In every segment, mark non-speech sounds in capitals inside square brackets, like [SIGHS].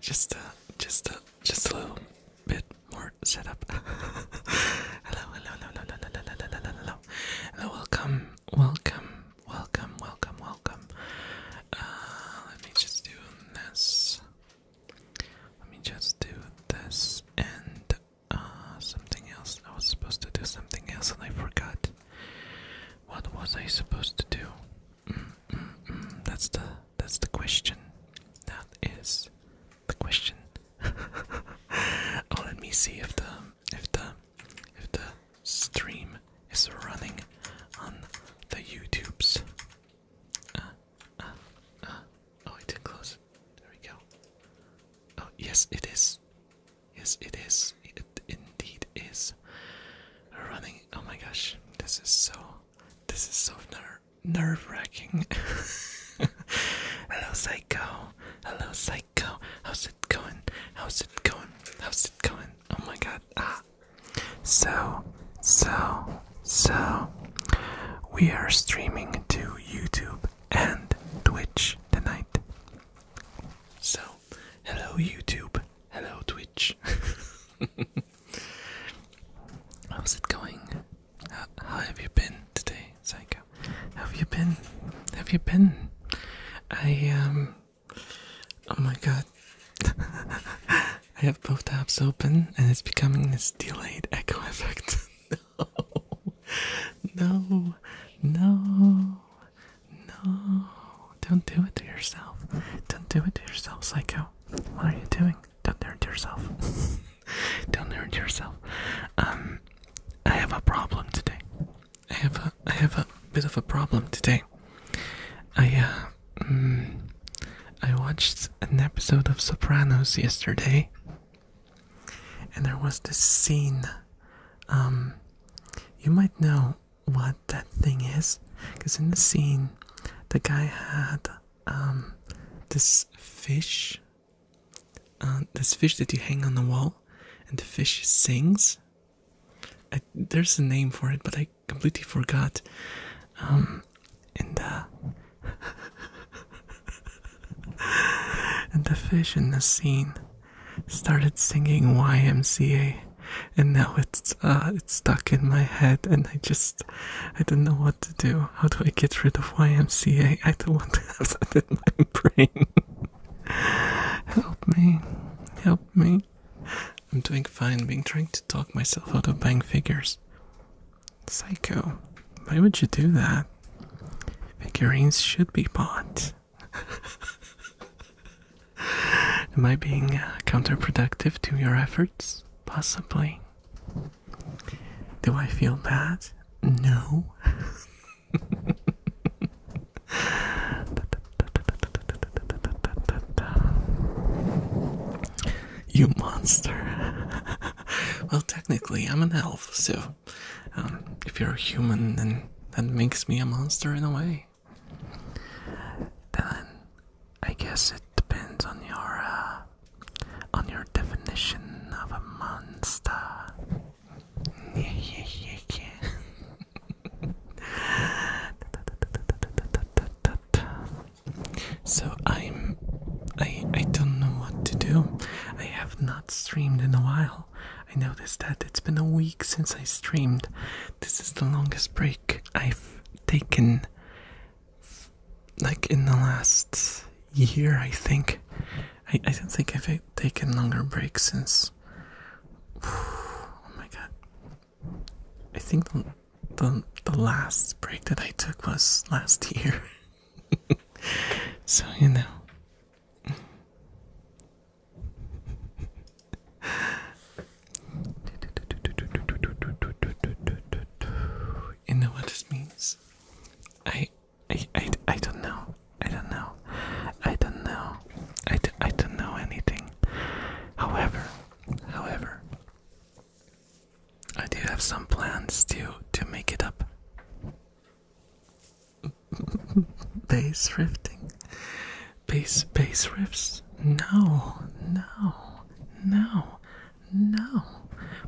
Just a, just a, just a little bit more setup. [LAUGHS] hello, hello, hello, hello, hello, hello, hello, hello, hello, hello. Welcome, welcome, welcome, welcome, welcome. Uh, let me just do this. Let me just do this and uh, something else. I was supposed to do something else and I forgot. What was I supposed to do? Mm, mm, mm. That's the that's the question. That is the question. [LAUGHS] oh, let me see if the if the if the stream is running on the YouTube's. Uh, uh, oh, I did close There we go. Oh yes, it is. Yes, it is. It indeed is. Running. Oh my gosh, this is so. This is so ner nerve wracking. [LAUGHS] Hello, Psycho. Hello, Psycho. How's it going? How's it going? How's it going? Oh my god. Ah. So, so, so. We are streaming to YouTube and Twitch tonight. So, hello YouTube, hello Twitch. [LAUGHS] How's it going? How, have you been today, Psycho? How have you been? Have you been? I, um. Oh my god. [LAUGHS] I have both tabs open and it's becoming this delayed echo effect. [LAUGHS] no. No. No. No, don't do it to yourself. Don't do it to yourself, psycho. What are you doing? Don't hurt yourself. [LAUGHS] don't hurt yourself. Um, I have a problem today. I have a, I have a bit of a problem today. I uh, mm, I watched an episode of Sopranos yesterday, and there was this scene um, you might know what that thing is, because in the scene, the guy had um, this fish, uh, this fish that you hang on the wall, and the fish sings. there's a name for it, but I completely forgot. Um, uh, [LAUGHS] and the fish in the scene started singing YMCA, and now it's uh, it's stuck in my head, and I just I don't know what to do. How do I get rid of YMCA? I don't want to have that in my brain. [LAUGHS] help me, help me. I'm doing fine being trying to talk myself out of buying figures. Psycho, why would you do that? Figurines should be bought. [LAUGHS] Am I being uh, counterproductive to your efforts? Possibly. Do I feel bad? No. [LAUGHS] you monster. [LAUGHS] well, technically, I'm an elf, so um, if you're a human, then that makes me a monster in a way. Then I guess it depends on your uh, on your definition of a monster. [LAUGHS] So I'm I I don't know what to do. I have not streamed in a while. I noticed that it's been a week since I streamed. This is the longest break I've taken, like in the last year, I think. I, don't think I've taken longer break since. [SIGHS] Oh my god. I think the, the, the last break that I took was last year. [LAUGHS] so, you know. [LAUGHS] You know what this means? I, I, I, I don't know. I don't know. I don't know. I, I don't know anything. However, however, I do have some plans to to make it up bass rifting? Bass, bass riffs? No, no, no, no.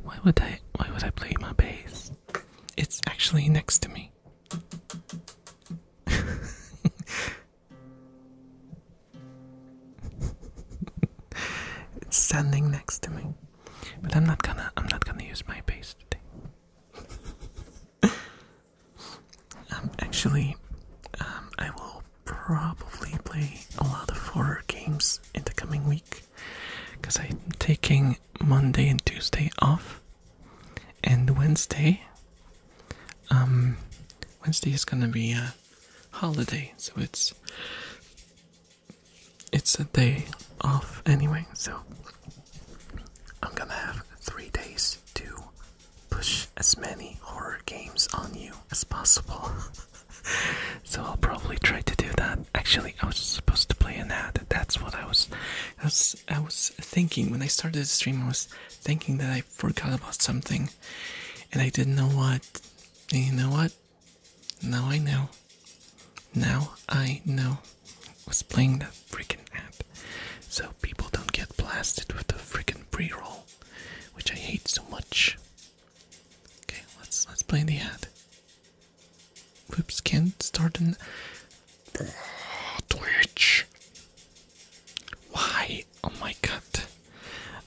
Why would I, why would I play my bass? It's actually next to me. it's standing next to me. But I'm not gonna I'm not gonna use my bass today. Um, actually, um, I will probably play a lot of horror games in the coming week because I'm taking Monday and Tuesday off, and Wednesday. Um, Wednesday is gonna be a holiday, so it's it's a day off anyway. So I'm gonna have three days to push as many horror games on you as possible. [LAUGHS] so I'll probably try to do that. Actually, I was supposed to play an ad. That's what I was, I was, I was thinking when I started the stream. I was thinking that I forgot about something, and I didn't know what. And you know what? Now I know. Now I know was playing the freaking app. So people don't get blasted with the freaking pre-roll, which I hate so much. Okay, let's let's play the ad. Whoops, can't start it. Twitch. Why? Oh my god.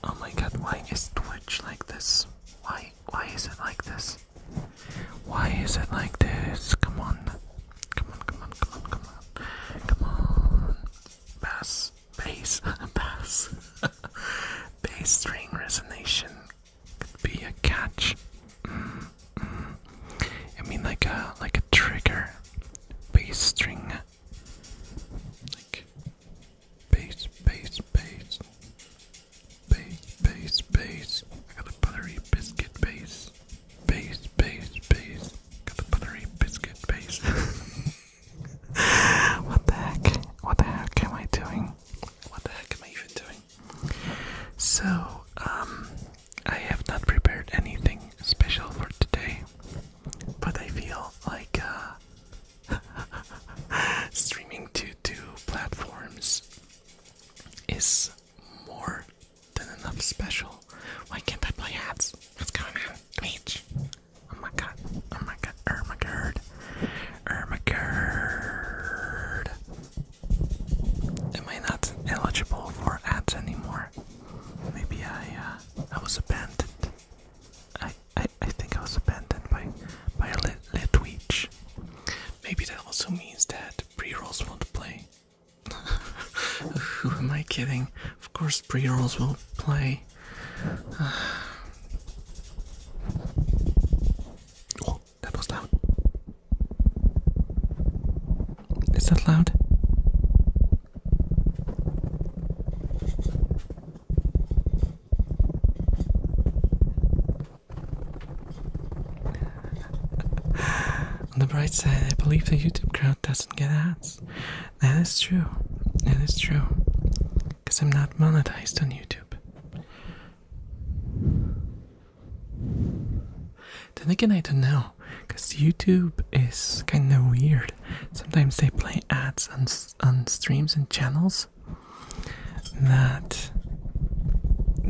Oh my god, why is Twitch like this? Why why is it like this? Why is it like this? Come on. Come on, come on, come on, come on. Come on. Bass, bass, bass. bass string resonance could be a catch. I mean, like a like a trigger. Bass string. Like bass, bass, bass. Bass, bass, bass. I got a buttery biscuit base base, base, base. Got the buttery biscuit base. [LAUGHS] what the heck? What the heck am I doing? What the heck am I even doing? So, um, I have not prepared anything special for today, but I feel like, uh, [LAUGHS] streaming to two platforms is more then enough special. Why can't I play ads? What's going on? Twitch. Oh my god. Oh my god. Ermagerd. Ermagerd. Am I not eligible for ads anymore? Maybe I uh, I was abandoned. I I, I think I was abandoned by by Litwitch. Lit Maybe that also means that pre-rolls won't play. [LAUGHS] Who am I kidding? Of course, pre rolls will play. [SIGHS] Oh, that was loud. Is that loud? [LAUGHS] On the bright side, I believe the YouTube crowd doesn't get ads. That is true. That is true. Because I'm not monetized on YouTube. Then again, I don't know. Because YouTube is kind of weird. Sometimes they play ads on, on streams and channels that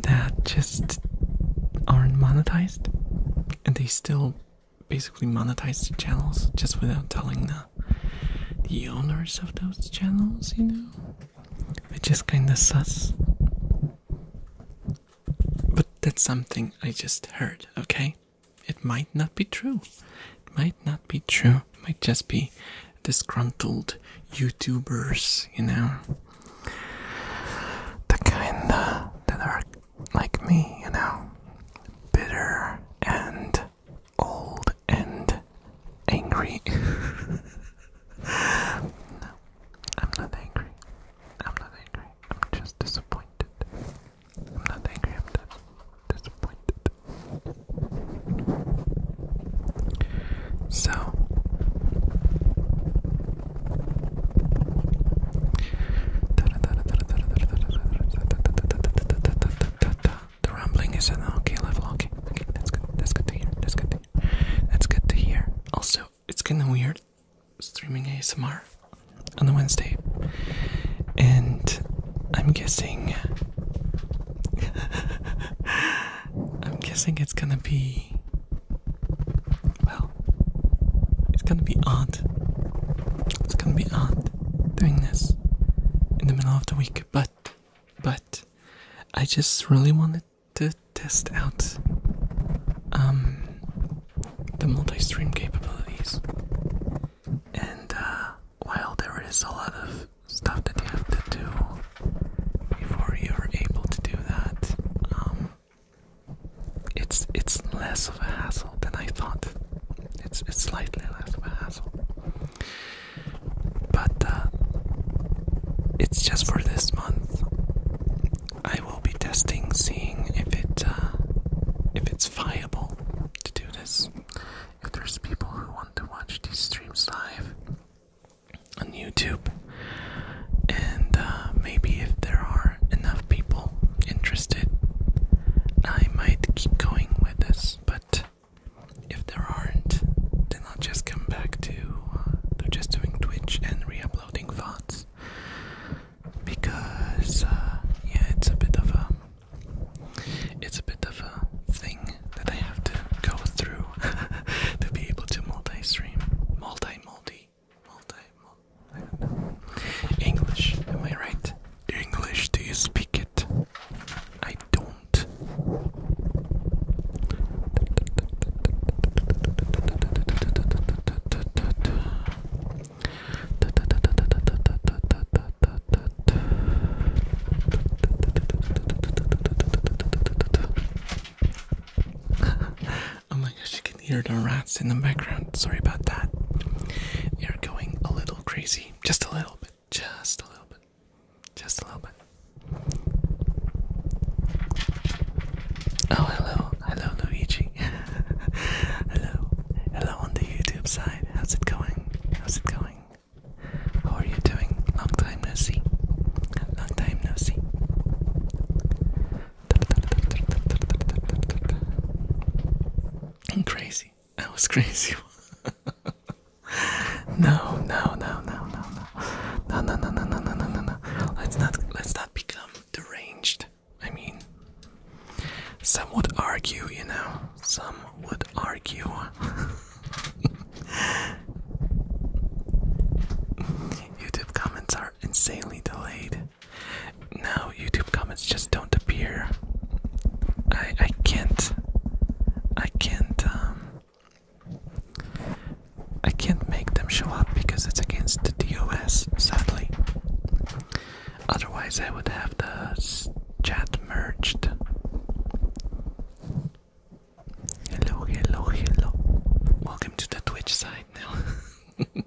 that just aren't monetized and they still basically monetize the channels just without telling the the owners of those channels, you know? It just kinda sucks. But that's something I just heard, okay? It might not be true. It might not be true. It might just be disgruntled YouTubers, you know? The kind that are like me, you know, bitter and old and angry. [LAUGHS] I'm not angry. I'm not angry. I'm just disappointed. I'm not angry. I'm disappointed. So, the rumbling is an okay level. Okay, okay, that's good. That's good to hear. That's good to hear. That's good to hear. Also, it's kind of weird streaming ASMR on a Wednesday, and I'm guessing. [LAUGHS] I'm guessing it's gonna be. Well, it's gonna be odd. It's gonna be odd doing this in the middle of the week, but, but, I just really wanted to test out um, the multi-stream capabilities. And uh, while there is a lot of stuff that you have to do before you're able to do that, um, it's it's less of a hassle than I thought. It's it's slightly less of a hassle, but uh, it's just for this month. I will be testing, seeing if it uh, if it's viable to do this. If there's people who want to watch these streams live on YouTube, and uh, maybe if there are enough people interested, I might keep going with this, but if there aren't, then I'll just come back to, uh, to just doing Twitch and re uploading thoughts. Because, uh, yeah, it's a bit of a. It's a bit of a thing that I have to go through [LAUGHS] to be able to multi stream, multi multi English, am I right? English, do you speak it? I don't. [LAUGHS] Oh my gosh, you can hear the rats in the background. Sorry about that. They are going a little crazy. Just a little bit. Just a little bit. Just a little bit. Oh, hello. Hello, Luigi. [LAUGHS] hello. Hello on the YouTube side. How's it going? How's it going? How are you doing? Long time no see. Long time no see. I'm crazy. I was crazy. [LAUGHS] no, no, no, no, no, no, no, no, no, no, no, no, no, no. Let's not, let's not become deranged. I mean, some would argue, you know. Some would argue. [LAUGHS] YouTube comments are insanely delayed. Now YouTube comments just don't appear. I I can't I can't um I can't make them show up because it's against the DOS sadly. Otherwise I would have the chat merged. Hello, hello, hello. Welcome to the Twitch side now. [LAUGHS]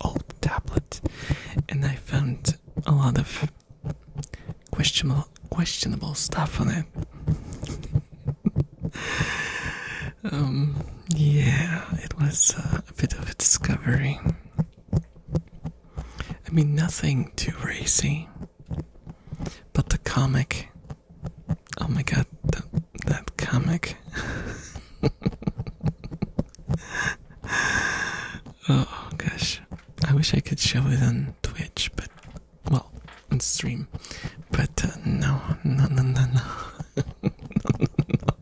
old tablet and I found a lot of questionable questionable stuff on it. [LAUGHS] um yeah, it was uh, a bit of a discovery. I mean nothing too racy. But the comic Oh my god, that, that comic. [LAUGHS] [LAUGHS] oh gosh, I wish I could show it on Twitch, but well, on stream, but uh, no, no, no, no, no. [LAUGHS] no, no, no,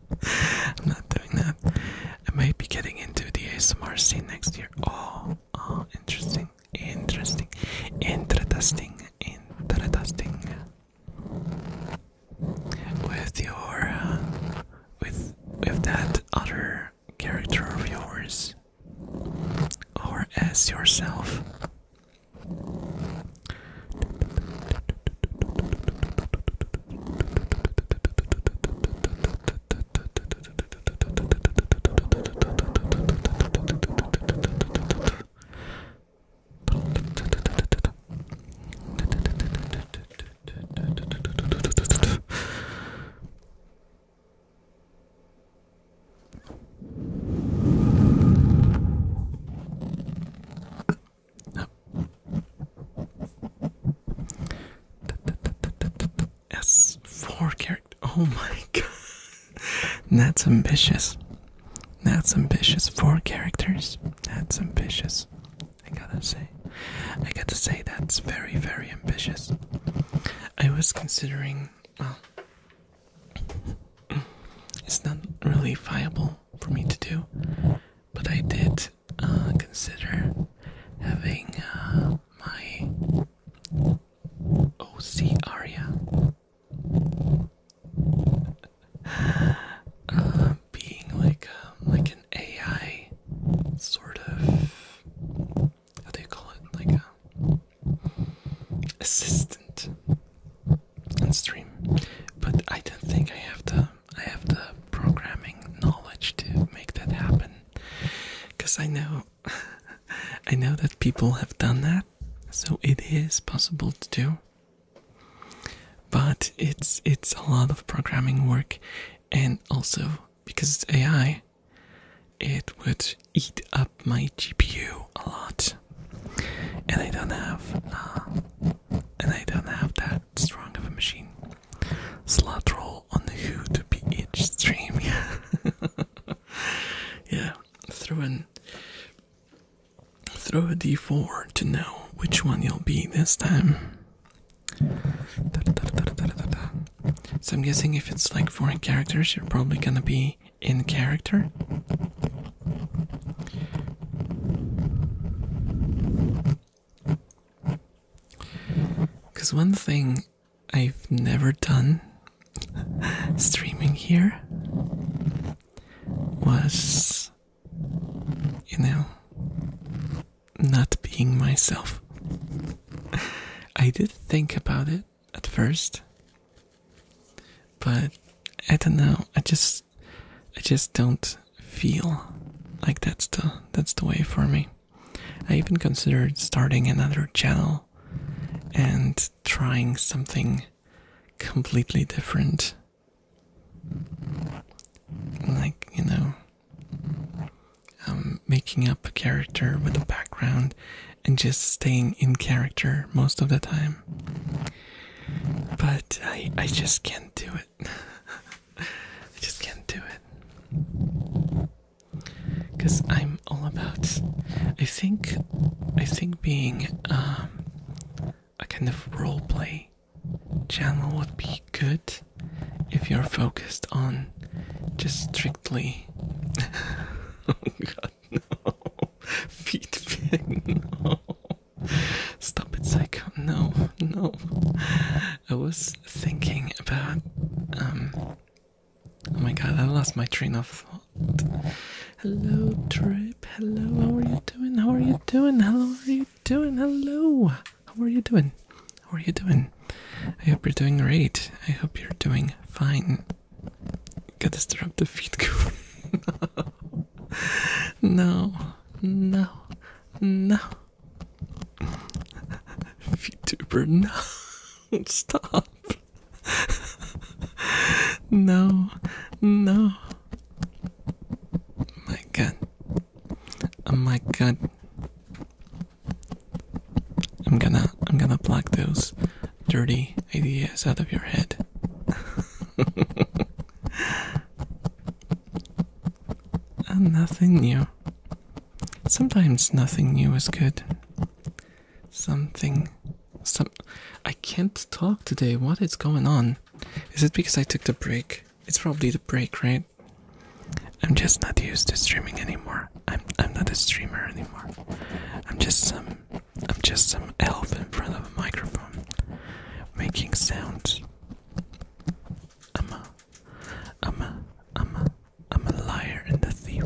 I'm not doing that. I might be getting into the ASMR scene next year. Oh, oh, interesting, interesting, interesting, interesting with your with with that other character of yours or as yourself Yes, four characters. Oh my [LAUGHS] god. That's ambitious. That's ambitious. Four characters. That's ambitious. I gotta say. I gotta say, that's very, very ambitious. I was considering, well, it's not really viable for me to do, but I did uh, consider having uh, my OC Aria. [SIGHS] Uh, being like a, um, like an AI sort of how do call it like a um, assistant and stream, but I don't think I have the I have the programming knowledge to make that happen because I know [LAUGHS] I know that people have done that, so it is possible to do. But it's it's a lot of programming work, and also because it's AI, it would eat up my GPU a lot, and I don't have uh, and I don't have that strong of a machine. Slot roll on the who to be each stream, yeah, [LAUGHS] yeah. Throw an throw a d4 to know which one you'll be this time. So I'm guessing if it's like foreign characters, you're probably gonna be in character. Because one thing I've never done [LAUGHS] streaming here was, you know, not being myself. [LAUGHS] I did think about it at first, but I don't know. I just, I just don't feel like that's the that's the way for me. I even considered starting another channel and trying something completely different like you know um, making up a character with a background and just staying in character most of the time but i i just can't do it [LAUGHS] i just can't do it cuz i'm all about i think i think being um a kind of role play channel would be good if you're focused on just strictly. [LAUGHS] oh god, no. Feet fitting, no. Stop it, psycho. No, no. I was thinking about. um Oh my god, I lost my train of thought. Hello, Trip. Hello, how are you doing? How are you doing? How are you doing? Hello. How are you doing? How are you doing? I hope you're doing great. I hope you're doing fine. Gotta stir up the feet. [LAUGHS] no, no, no. VTuber, no. [LAUGHS] Stop. no, no. My god. Oh my god. I'm gonna I'm gonna block those dirty ideas out of your head. and [LAUGHS] ah, nothing new. Sometimes nothing new is good. Something some I can't talk today. What is going on? Is it because I took the break? It's probably the break, right? I'm just not used to streaming anymore. I'm I'm not a streamer anymore. I'm just some I'm just some elf in front of a microphone making sounds. I'm a I'm a I'm a I'm a liar and a thief.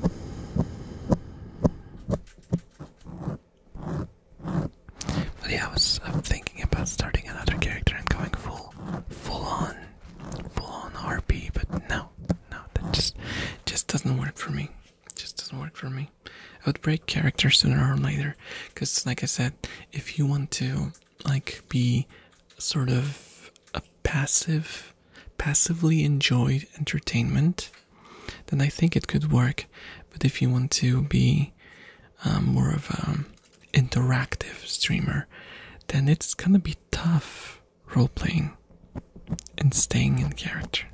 But yeah, I was thinking about starting another character and going full, full on, full on RP. But no, no, that just just doesn't work for me. Just doesn't work for me. I would break character sooner or later, because like I said, if you want to like be sort of a passive passively enjoyed entertainment, then I think it could work. But if you want to be um, more of an interactive streamer, then it's gonna be tough role playing and staying in character.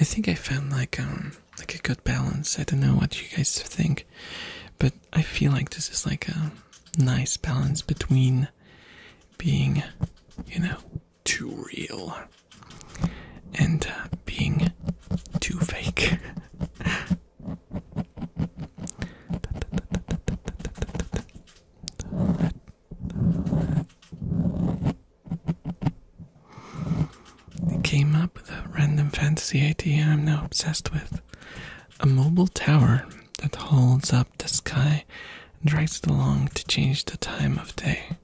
I think I found like um like a good balance. I don't know what you guys think, but I feel like this is like a nice balance between being, you know, too real and uh, being too fake. [LAUGHS] They came up with a random fantasy idea I'm now obsessed with. A mobile tower that holds up the sky and drags it along to change the time of day.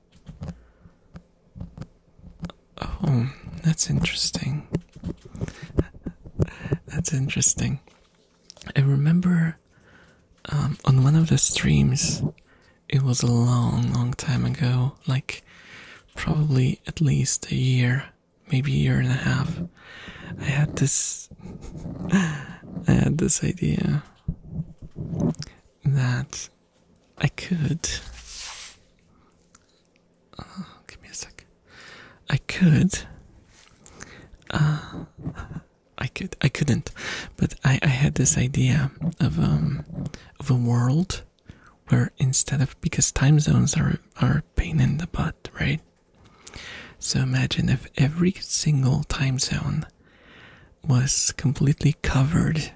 Oh, that's interesting. [LAUGHS] that's interesting. I remember um, on one of the streams it was a long, long time ago, like probably at least a year, maybe a year and a half. I had this [LAUGHS] I had this idea that I could uh, give me a sec. I could uh, [LAUGHS] I could I couldn't but I, had this idea of um, of a world where instead of because time zones are are a pain in the butt, right? So imagine if every single time zone was completely covered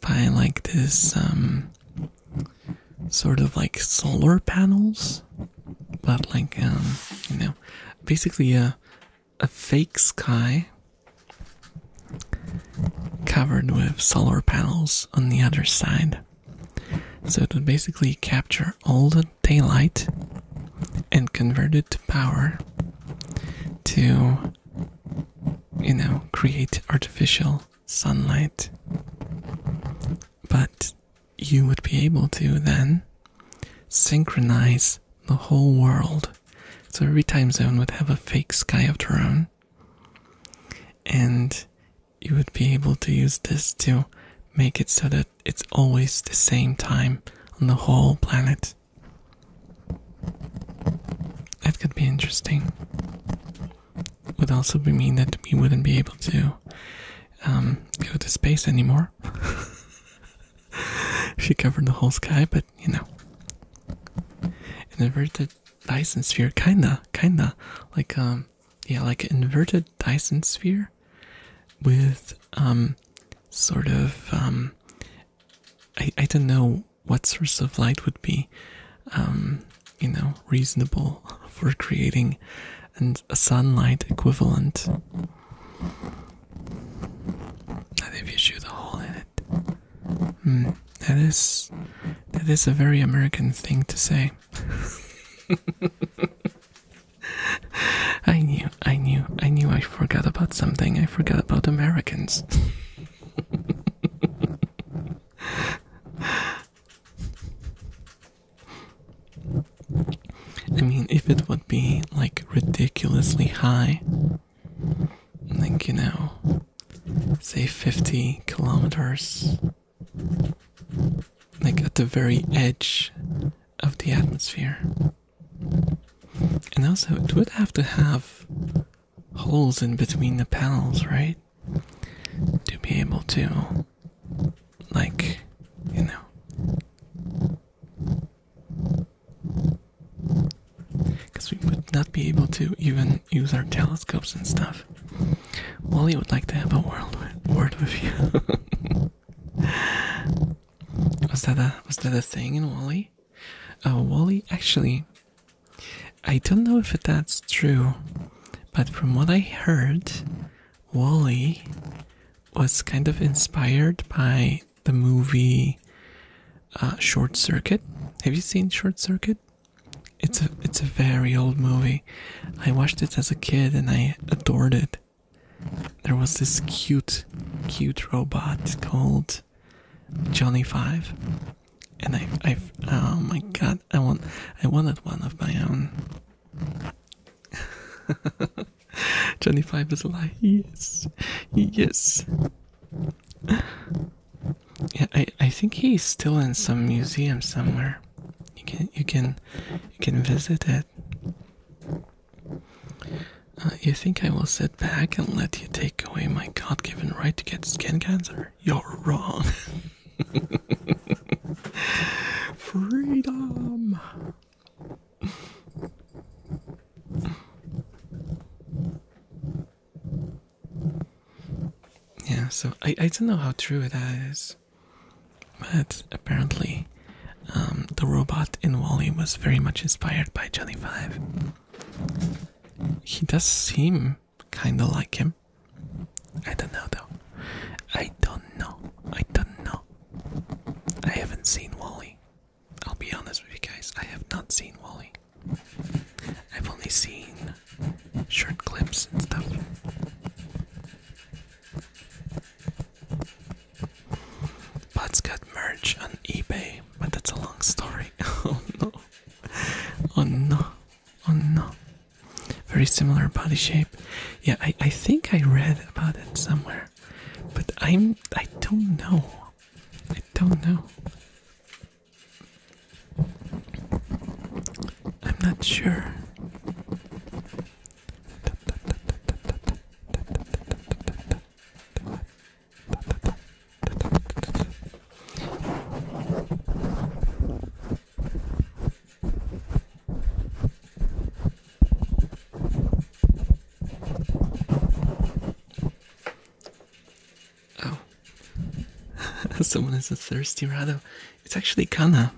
by like this um sort of like solar panels but like um you know basically a a fake sky covered with solar panels on the other side. So it would basically capture all the daylight and convert it to power to, you know, create artificial sunlight. But you would be able to then synchronize the whole world. So every time zone would have a fake sky of their own, and you would be able to use this to make it so that it's always the same time on the whole planet. That could be interesting. Would also be mean that we wouldn't be able to um, go to space anymore. if [LAUGHS] you covered the whole sky, but you know. inverted Dyson sphere, kinda, kinda like um, yeah, like inverted Dyson sphere with um, sort of um, I I don't know what source of light would be, um, you know, reasonable [LAUGHS] for creating and a sunlight equivalent. And if you shoot a hole in it, Hmm, that is that is a very American thing to say. [LAUGHS] I knew, I knew, I knew I forgot about something. I forgot about Americans. [LAUGHS] I mean, if it would be like ridiculously high, like you know say 50 kilometers like at the very edge of the atmosphere and also it would have to have holes in between the panels right to be able to like you know because we would not be able to even use our telescopes and stuff. Wally would like to have a world word with you. [LAUGHS] was that a was that a thing in Wally? Uh, Wally, actually, I don't know if that's true, but from what I heard, Wally was kind of inspired by the movie uh, Short Circuit. Have you seen Short Circuit? It's a it's a very old movie. I watched it as a kid and I adored it. There was this cute, cute robot called Johnny Five, and I I oh my god I want I wanted one of my own. [LAUGHS] Johnny Five is alive. Yes, yes yeah, I I think he's still in some museum somewhere. You can you can you can visit it. Uh, you think I will sit back and let you take away my God-given right to get skin cancer? You're wrong. [LAUGHS] Freedom. Yeah, so I, I don't know how true that is. But apparently, um, the robot in Wally was very much inspired by Johnny Five. He does seem kinda like him. I don't know though. I don't know. I don't know. I haven't seen Wally. I'll be honest with you guys, I have not seen Wally. I've only seen short clips and stuff. Butts got merch on eBay, but that's a long story. [LAUGHS] oh no. Oh no. Oh no. Very similar body shape. Yeah, I, I think I read about it somewhere. But I'm I don't know. I don't know. I'm not sure. Oh. [LAUGHS] Someone is a thirsty Rado. It's actually Kana.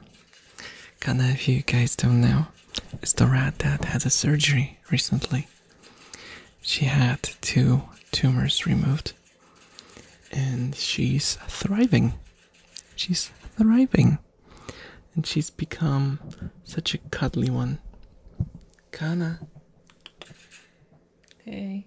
Kana, if you guys don't know, it's the rat that had a surgery recently. She had two tumors removed. And she's thriving. She's thriving. And she's become such a cuddly one. Kana. Hey.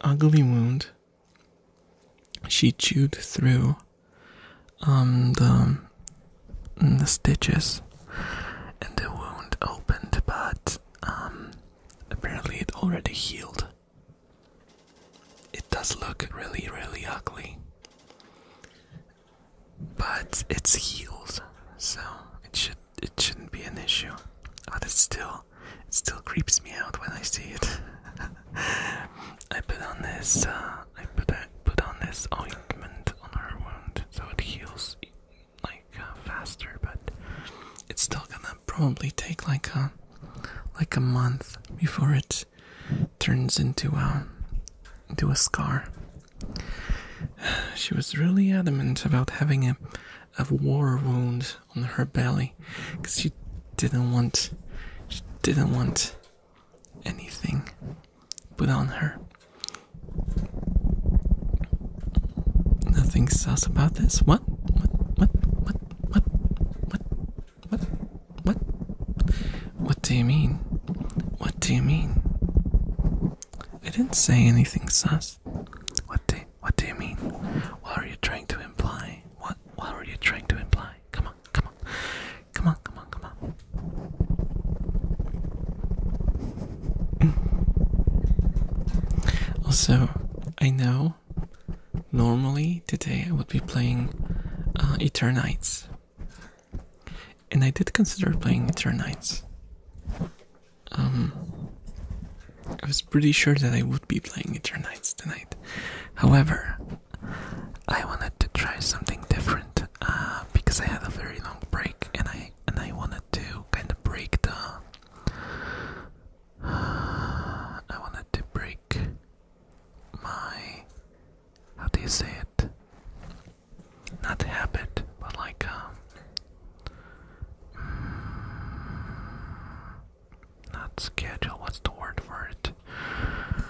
ugly wound. She chewed through um mm, the, stitches, and the wound opened, but um apparently it already healed. It does look really, really ugly, but it's healed, so it should it shouldn't be an issue. But it's still it still creeps me out when I see it. [LAUGHS] I put on this uh, I put I put on this ointment on her wound so it heals like uh, faster, but it's still gonna probably take like a like a month before it turns into a um, into a scar. [SIGHS] She was really adamant about having a of war wounds on her belly because she didn't want she didn't want anything put on her. Nothing sus about this. What? What? What? What? What? What? What? What? What do you mean? What do you mean? I didn't say anything sus. What do what do you mean? What are you trying to imply? What what are you trying to imply? Come on, come on. Come on, come on, come on. Mm. Also, I know normally today I would be playing uh, Eternites. And I did consider playing Eternites. Um I was pretty sure that I would be playing it nights tonight. However, I wanted to try something different uh, because I had a very long break, and I and I wanted to kind of break the. [SIGHS] I wanted to break my. How do you say it? Not habit, but like um, not schedule, what's the word for it?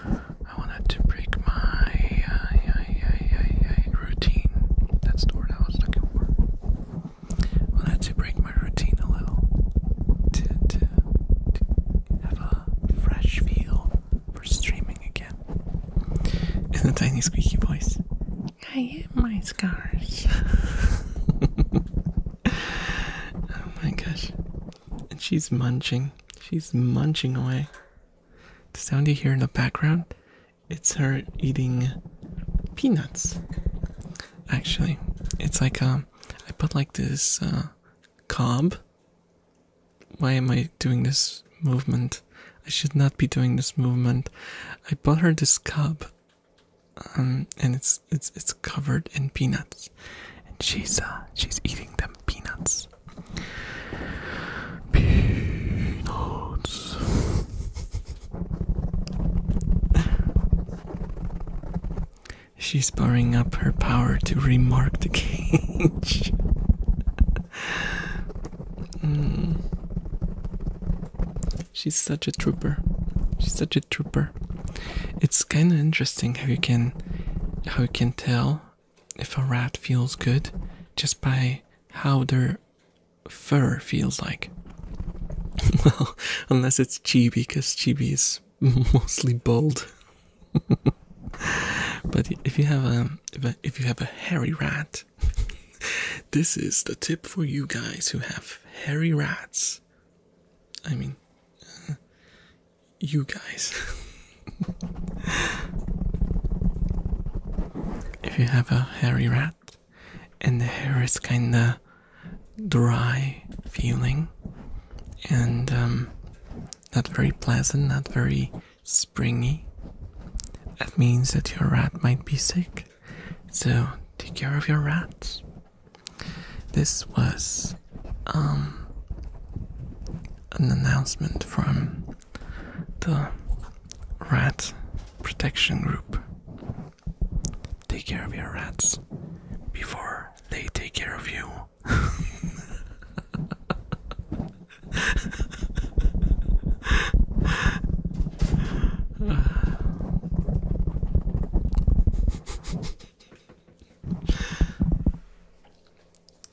I wanted to break my uh, I, I, I, routine. That's the word I was looking for. I wanted to break my routine a little to, have a fresh feel for streaming again. [LAUGHS] In a tiny squeaky voice. I hit my scars. [LAUGHS] oh my gosh. And she's munching. She's munching away. The sound you hear in the background, it's her eating peanuts. Actually, it's like um I put like this uh, cob. Why am I doing this movement? I should not be doing this movement. I bought her this cob um, and it's it's it's covered in peanuts, and she's uh, she's eating them peanuts. Peanuts. she's pouring up her power to remark the cage. [LAUGHS] Hmm. She's such a trooper. She's such a trooper. It's kind of interesting how you can how you can tell if a rat feels good just by how their fur feels like. [LAUGHS] well, unless it's Chibi, because Chibi is [LAUGHS] mostly bald. [LAUGHS] but if you have a if, a if you have a hairy rat, this is the tip for you guys who have hairy rats. I mean, uh, you guys. [LAUGHS] if you have a hairy rat and the hair is kinda dry feeling and um, not very pleasant, not very springy, that means that your rat might be sick. So take care of your rats. This was um, an announcement from the Rat Protection Group. Take care of your rats before they take care of you. [LAUGHS]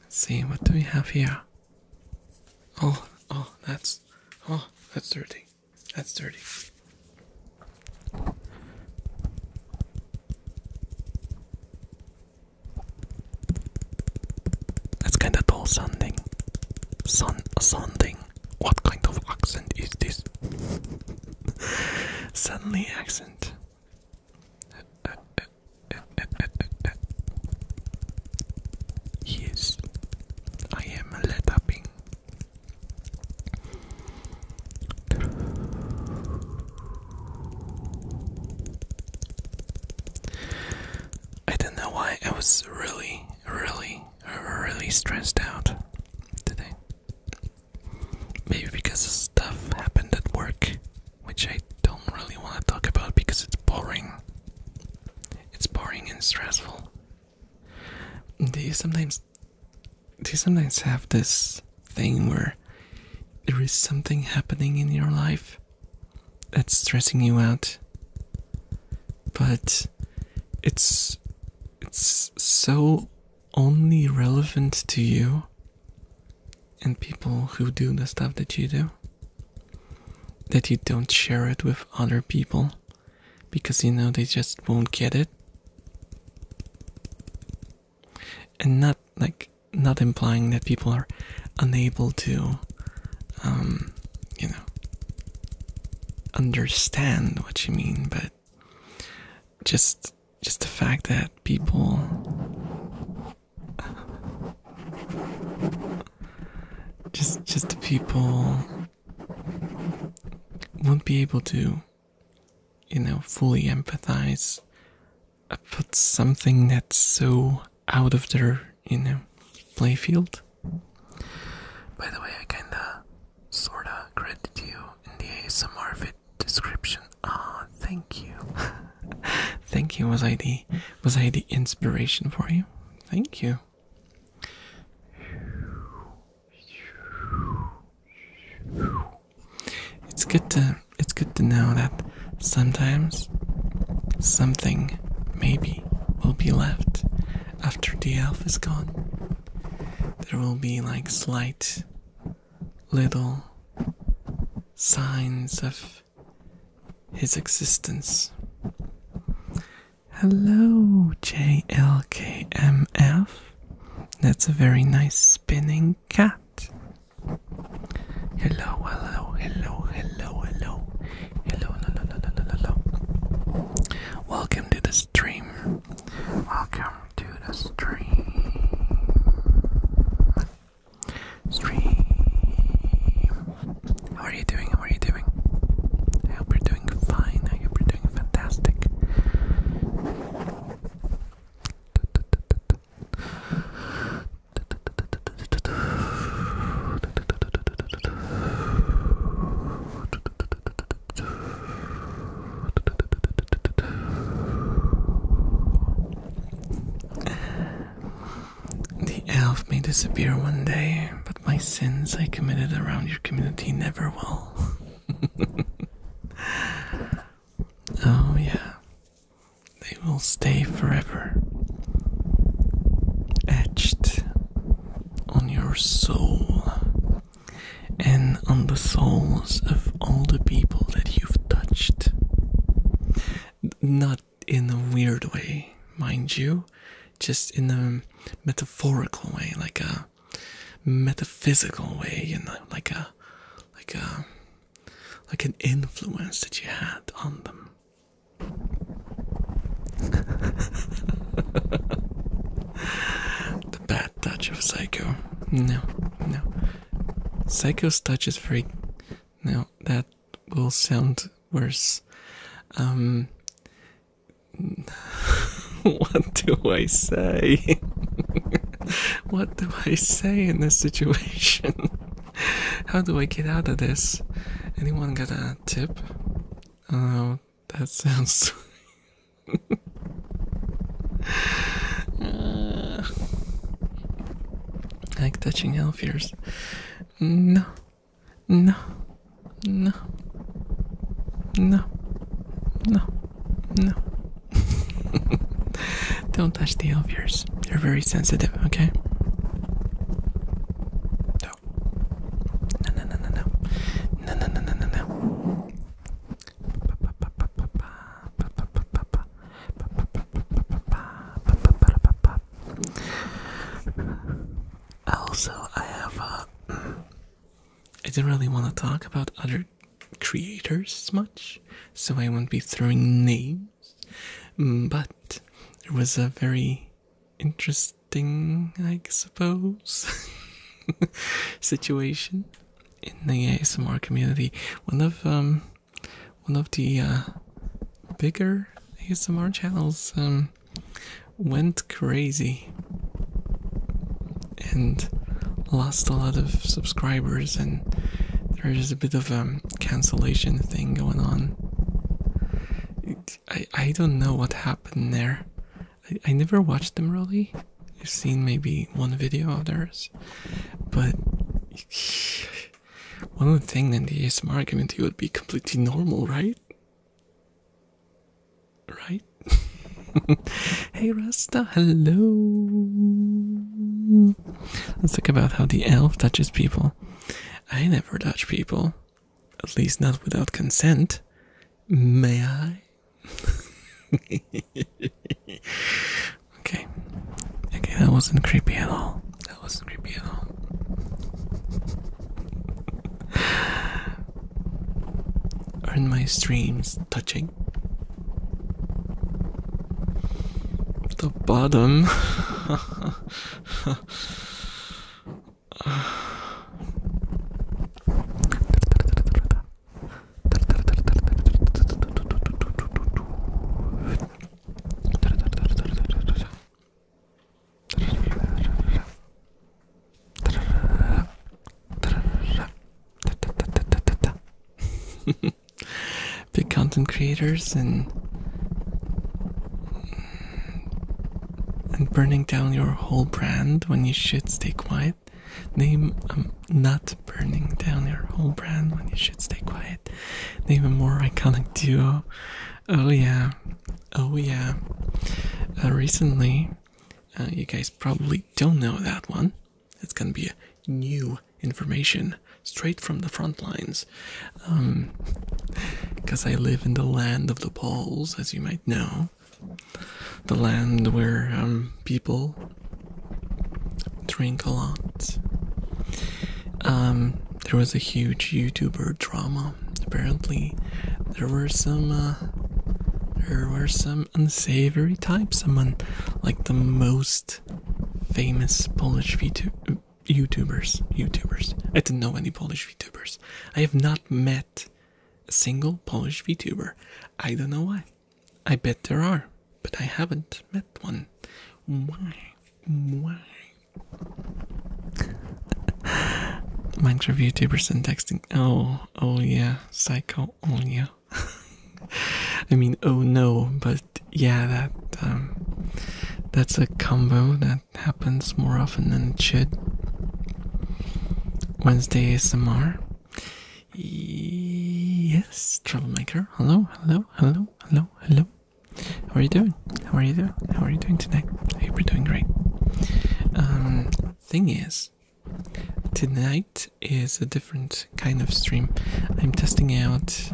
Let's see, what do we have here? Oh, oh, that's, oh, that's dirty. That's dirty. That's kind of dull sounding. Sun sounding. What kind of accent is this? [LAUGHS] Suddenly accent. Yes, I am let up. I don't know why I was really, really, really stressed out today. Maybe because stuff happened at work, which I don't really want to talk about because it's boring. It's boring and stressful. Do you sometimes do you sometimes have this thing where there is something happening in your life that's stressing you out? But it's it's so only relevant to you and people who do the stuff that you do, that you don't share it with other people because you know they just won't get it. And not like not implying that people are unable to, um, you know, understand what you mean, but just just the fact that people just just the people won't be able to you know fully empathize put something that's so out of their you know playfield by the way i kinda sorta credit you in the ASMR vid description. Ah, thank you. [LAUGHS] thank you. Was I the was I the inspiration for you? Thank you. It's good to it's good to know that sometimes something maybe will be left after the elf is gone. There will be like slight little signs of his existence. Hello, JLKMF. That's a very nice spinning cat. Hello, hello, hello, hello, hello, hello, hello, hello, hello, hello. Welcome to the stream. Welcome to the stream. Stream. How are you doing? How are you doing? I hope you're doing fine. I hope you're doing fantastic. The elf may disappear one day, but my sins I committed around your community never will. [LAUGHS] oh, yeah. They will stay forever. Etched on your soul and on the souls of all the people that you've touched. Not in a weird way, mind you, just in a metaphorical way, like a metaphysical way, you like a like a like an influence that you had on them. [LAUGHS] the bad touch of psycho. No. No. Psycho's touch is very. No, that will sound worse. Um. [LAUGHS] what do I say? [LAUGHS] what do I say in this situation? [LAUGHS] How do I get out of this? Anyone got a tip? Oh, that sounds. Uh, like touching elf ears. No, no, no, no, no, no. [LAUGHS] Don't touch the elf ears. They're very sensitive, okay? no, no, no, no, no, no, no. Also, I have uh, I didn't really want to talk about other creators much, so I won't be throwing names. Mm, but it was a very interesting, I suppose, [LAUGHS] situation in the ASMR community. One of um one of the uh bigger ASMR channels um went crazy and lost a lot of subscribers and there's a bit of a um, cancellation thing going on. I I don't know what happened there. I, I never watched them really. You've seen maybe one video of theirs, but [SIGHS] one would think in the ASMR community would be completely normal, right? Right? [LAUGHS] hey Rasta, hello. Let's talk about how the elf touches people. I never touch people, at least not without consent. May I? [LAUGHS] okay. Okay, that wasn't creepy at all. That wasn't creepy at all. [LAUGHS] Aren't my streams touching? The bottom. [LAUGHS] [SIGHS] [SIGHS] [LAUGHS] Big content creators and and burning down your whole brand when you should stay quiet. Name I'm um, not burning down your whole brand when you should stay quiet. Even more iconic duo. Oh yeah, oh yeah. Uh, recently, uh, you guys probably don't know that one. It's gonna be a new information straight from the front lines. Um, because I live in the land of the Poles, as you might know. The land where um, people drink a lot. Um, there was a huge YouTuber drama. Apparently, there were some uh, there were some unsavory types. among, like the most famous Polish VTuber. YouTubers, YouTubers. I didn't know any Polish VTubers. I have not met a single Polish VTuber. I don't know why. I bet there are, but I haven't met one. Why? Why? [LAUGHS] Minecraft YouTubers and texting. Oh, oh yeah, psycho. Oh yeah. [LAUGHS] I mean, oh no, but yeah, that um, that's a combo that happens more often than it should. Wednesday ASMR. Yes, troublemaker. Hello, hello, hello, hello, hello. How are you doing? How are you doing? How are you doing today? I hope you're doing great. Um, thing is, tonight is a different kind of stream. I'm testing out.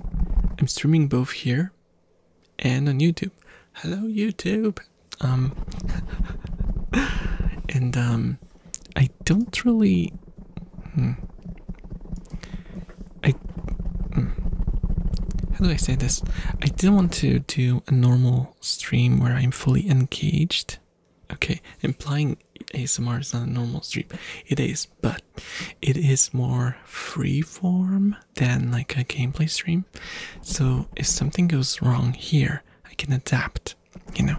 I'm streaming both here and on YouTube. Hello, YouTube. Um, [LAUGHS] and um, I don't really. Hmm. I. Hmm. How do I say this? I didn't want to do a normal stream where I'm fully engaged. Okay, implying ASMR is not a normal stream. It is, but it is more freeform than like a gameplay stream. So if something goes wrong here, I can adapt, you know.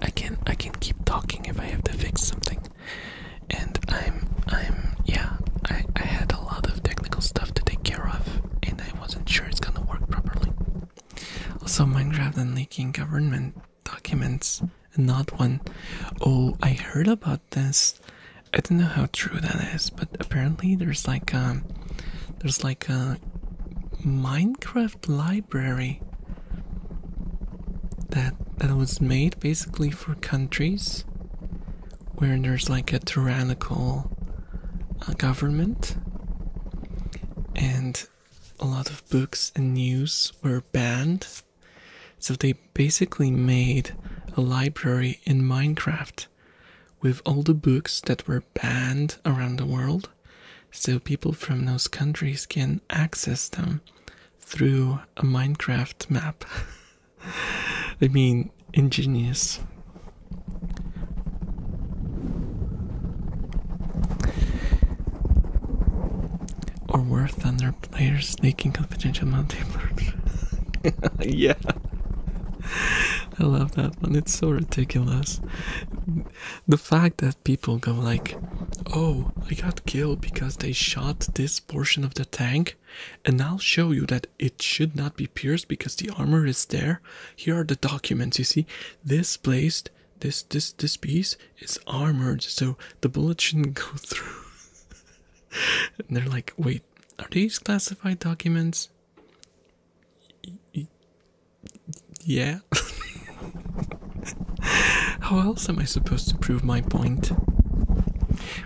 I can I can keep talking if I have to fix something. And I'm I'm yeah, I, I had a lot of technical stuff to take care of and I wasn't sure it's gonna work properly. Also Minecraft and leaking government documents and not one. Oh, I heard about this. I don't know how true that is, but apparently there's like um there's like a Minecraft library that that was made basically for countries where there's like a tyrannical uh, government and a lot of books and news were banned so they basically made a library in Minecraft with all the books that were banned around the world so people from those countries can access them through a Minecraft map. [LAUGHS] I mean, ingenious. Or worse than their players sneaking confidential multiplayer. [LAUGHS] yeah. I love that one. It's so ridiculous. The fact that people go like, oh, I got killed because they shot this portion of the tank, and I'll show you that it should not be pierced because the armor is there. Here are the documents. You see, this placed, this this this piece is armored, so the bullet shouldn't go [LAUGHS] through. and they're like, wait, are these classified documents? Yeah. [LAUGHS] How else am I supposed to prove my point?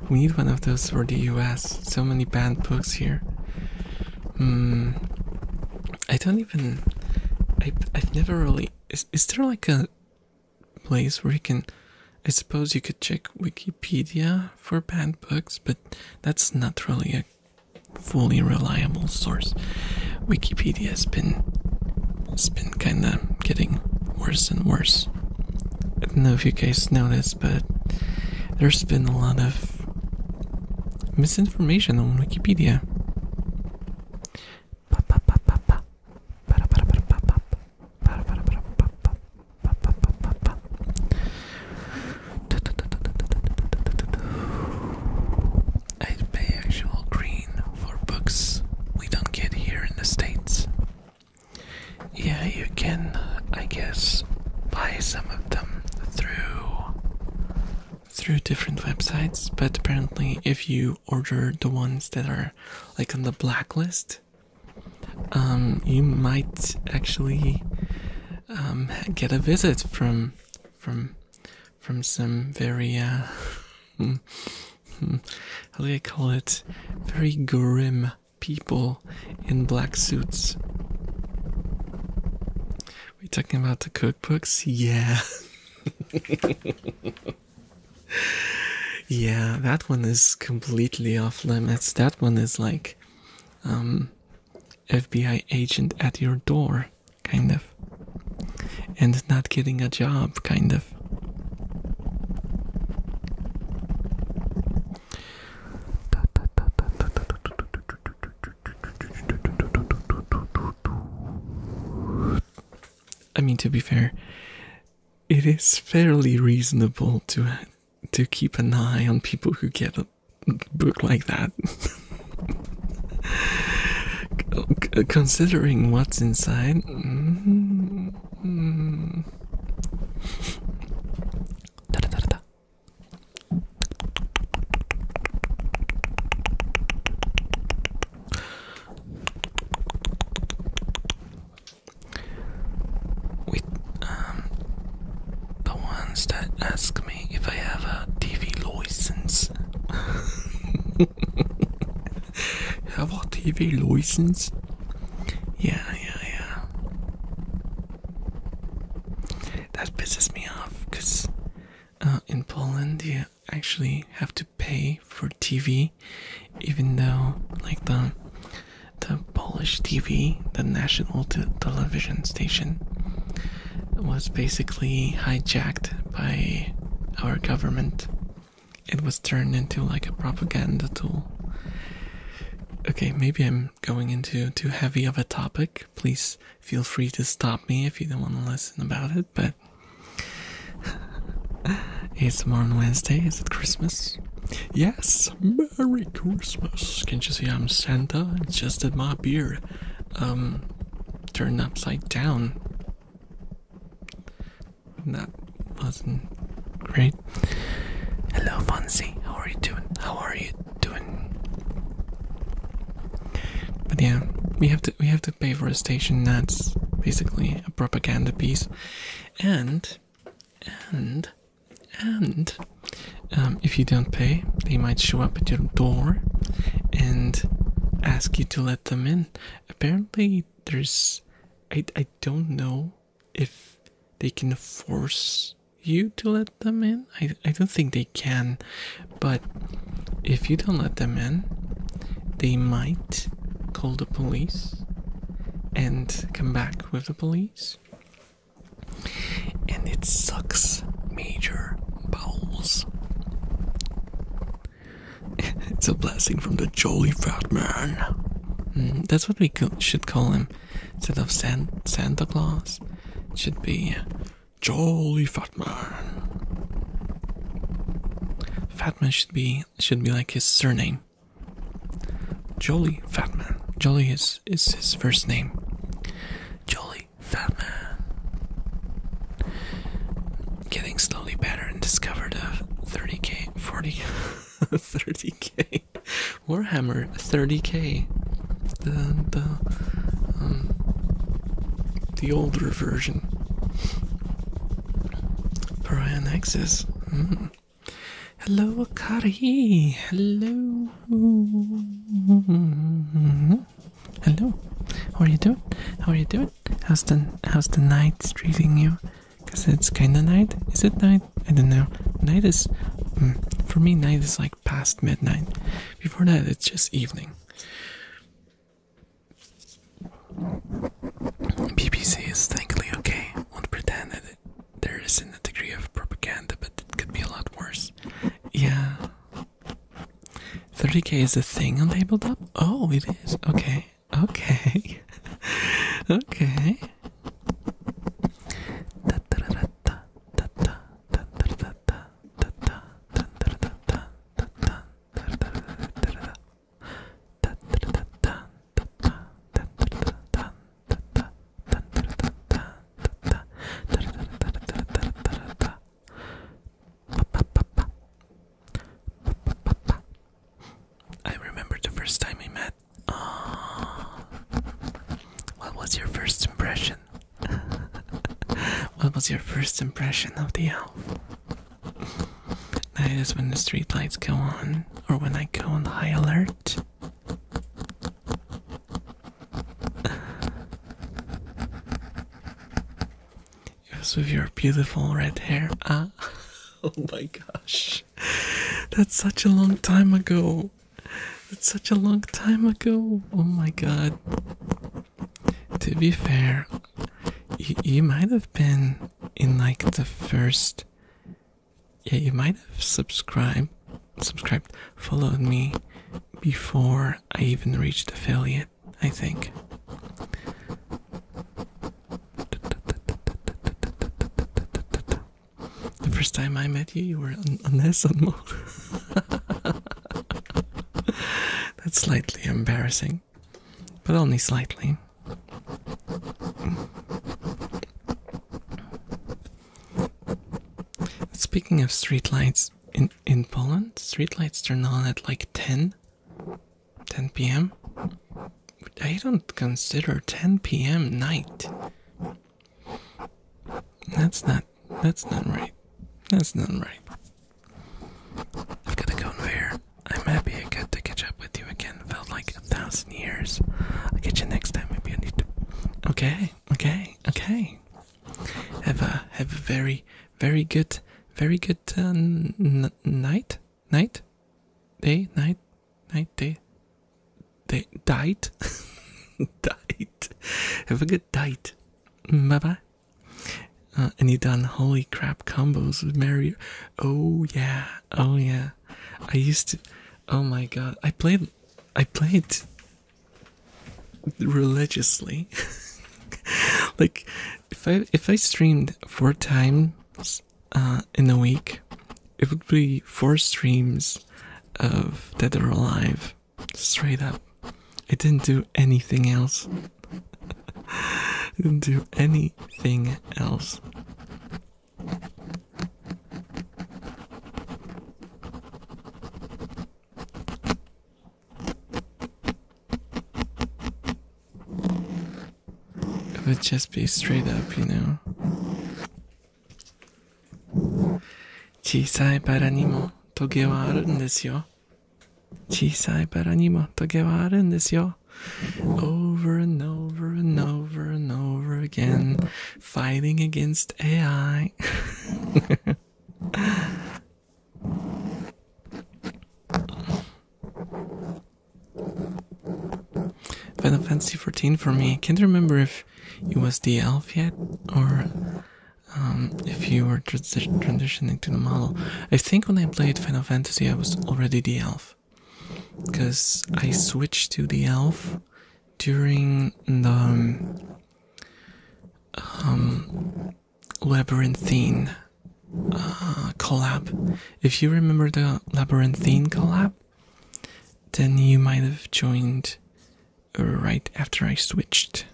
We need one of those for the US. So many banned books here. Hmm. I don't even. I, I've never really. Is, is there like a place where you can. I suppose you could check Wikipedia for banned books, but that's not really a fully reliable source. Wikipedia has been has been kinda getting worse and worse. I don't know if you guys noticed, but there's been a lot of misinformation on Wikipedia. I pay actual green for books we don't get here in the States. Yeah, you can, I guess, buy some of them through through different websites, but apparently if you order the ones that are like on the blacklist, um, you might actually um, get a visit from from from some very uh [LAUGHS] hmm, hmm, how do I call it? Very grim people in black suits. we talking about the cookbooks? Yeah. [LAUGHS] yeah, that one is completely off limits. That one is like um FBI agent at your door kind of, and not getting a job, kind of. I mean, to be fair, it is fairly reasonable to to keep an eye on people who get a book like that. [LAUGHS] Considering what's inside. Mm the ones that ask me if I have a TV license, [LAUGHS] [LAUGHS] Have a TV license? Yeah, yeah, yeah. That pisses me off because uh, in Poland you actually have to pay for TV, even though like the the Polish TV, the national television station, was basically hijacked by our government. It was turned into like a propaganda tool. Okay, maybe I'm going into too heavy of a topic. Please feel free to stop me if you don't want to listen about it, but [LAUGHS] it's more on Wednesday. Is it Christmas? Yes, Merry Christmas. Can't you see I'm Santa? It's just that my beard um turned upside down that wasn't great. Hello, Fonzie. How are you doing? How are you doing? But yeah, we have to we have to pay for a station that's basically a propaganda piece, and and and um, if you don't pay, they might show up at your door and ask you to let them in. Apparently, there's. I, I don't know if they can force you to let them in. I, I don't think they can. But if you don't let them in, they might call the police and come back with the police. And it sucks, Major Bowles. [LAUGHS] it's a blessing from the jolly fat man. Mm-hmm. that's what we should call him instead of San Santa Claus. It should be jolly fat man. Fat man should be should be like his surname. Jolly fat man. Jolly is is his first name. Jolly fat man getting slowly better and discovered a 30k, 40, 30k [LAUGHS] Warhammer 30k, the the um, the older version. Pariah Nexus. Hmm. Hello, Akari. Hello. Hello? How are you doing? How are you doing? How's the how's the night treating you? Cause it's kinda night. Is it night? I don't know. Night is mm, for me night is like past midnight. Before that it's just evening. BBC is thankfully okay. Won't pretend that there isn't a degree of propaganda, but it could be a lot worse. Yeah, 30k is a thing on tabletop? Oh, it is. Okay. Okay. okay. I remember the first time we met. Oh. What was your first impression? [LAUGHS] what was your first impression of the elf? That is when the streetlights go on, or when I go on high alert. Yes, with your beautiful red hair. Ah, [LAUGHS] oh my gosh, that's such a long time ago. That's such a long time ago. Oh my god. To be fair, you, might have been in like the first. Yeah, you might have subscribed, subscribed, followed me before I even reached affiliate. I think. The first time I met you, you were on, on this mode. [LAUGHS] That's slightly embarrassing, but only slightly. Speaking of streetlights in in Poland, streetlights turn on at like ten 10 p.m. I don't consider 10 p.m. night. That's not that's not right. That's not right. I've got a conveyor. I'm happy I get to catch up with you again. Felt like a thousand years. I'll catch you next time. Maybe I need to. Okay, okay, okay. Have a have a very very good very good uh, night, night, day, night, night, day, day, died, [LAUGHS] died. Have a good diet. Bye bye. Uh, and you done holy crap combos with Mario. Oh yeah, oh yeah. I used to. Oh my god, I played. I played religiously [LAUGHS] like if I if I streamed four times uh, in a week, it would be four streams of Dead or Alive. Straight up, I didn't do anything else. [LAUGHS] I didn't do anything else. It would just be straight up, you know. 小さいバラにもトゲはあるんですよ。小さいバラにもトゲはあるんですよ。Over and over and over and over again, fighting against AI. Final Fantasy XIV for me. I can't remember if it was the elf yet or um, if you were transitioning to the model. I think when I played Final Fantasy, I was already the elf because I switched to the elf during the um, um, labyrinthine uh, collab. If you remember the labyrinthine collab, then you might have joined right after I switched.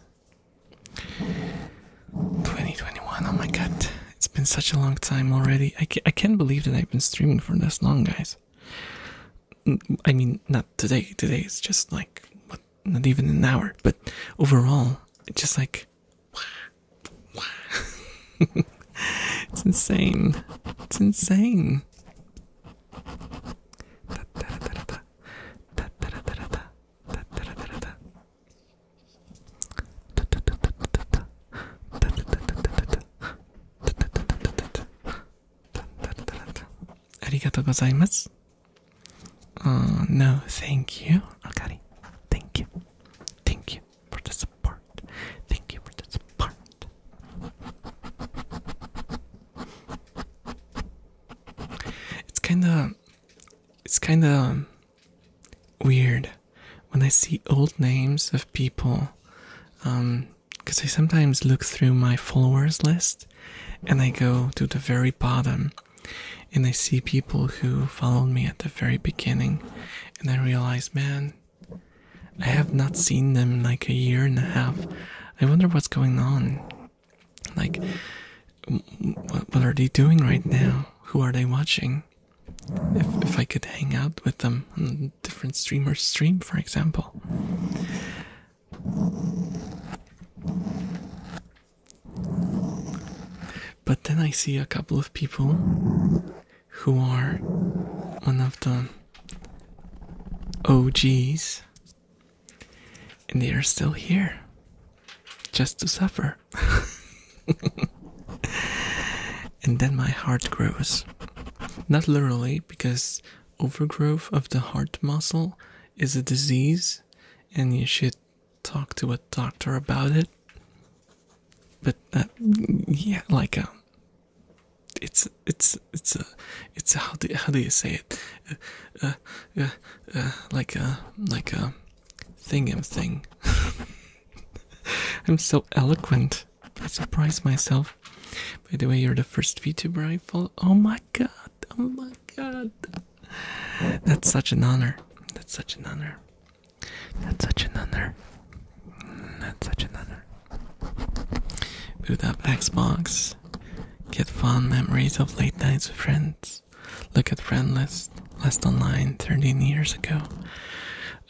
2021, oh my god, it's been such a long time already. I, I can't believe that I've been streaming for this long, guys. I mean, not today, today is just like, not even an hour, but overall, just like it's insane. It's insane. Arigato gozaimasu. Oh, no, thank you, Akari. Thank you. Thank you. for the support. Thank you for the support. It's kind of it's kind of weird when I see old names of people um cuz I sometimes look through my followers list and I go to the very bottom and I see people who followed me at the very beginning, and I realize, man, I have not seen them like a year and a half. I wonder what's going on. Like, what, what are they doing right now? Who are they watching? If, if I could hang out with them on a different streamer's stream, for example. But then I see a couple of people who are one of the OGs, and they are still here just to suffer. [LAUGHS] and then my heart grows. Not literally, because overgrowth of the heart muscle is a disease and you should talk to a doctor about it. But uh, yeah, like um, it's it's it's a it's how do how do you say it? Uh, uh, like a like a thingam thing. Um, [LAUGHS] I'm so eloquent. I surprise myself. By the way, you're the first VTuber I follow. Oh my god! Oh my god! That's such an honor. That's such an honor. That's such an honor. That's such an honor. Boot up Xbox. Get fond memories of late nights with friends. Look at friend list last online 13 years ago.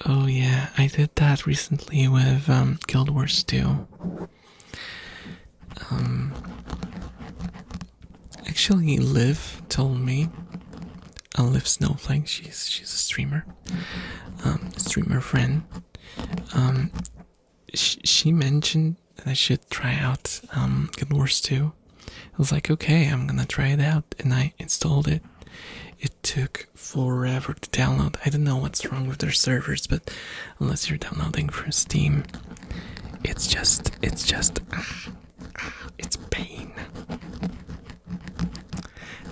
Oh yeah, I did that recently with um, Guild Wars 2. Um, actually, Liv told me I uh, Olive Snowflake. She's she's a streamer, um, streamer friend. Um, she, she mentioned that I should try out um, Guild Wars too. I was like, okay, I'm gonna try it out, and I installed it. It took forever to download. I don't know what's wrong with their servers, but unless you're downloading from Steam, it's just it's just it's pain.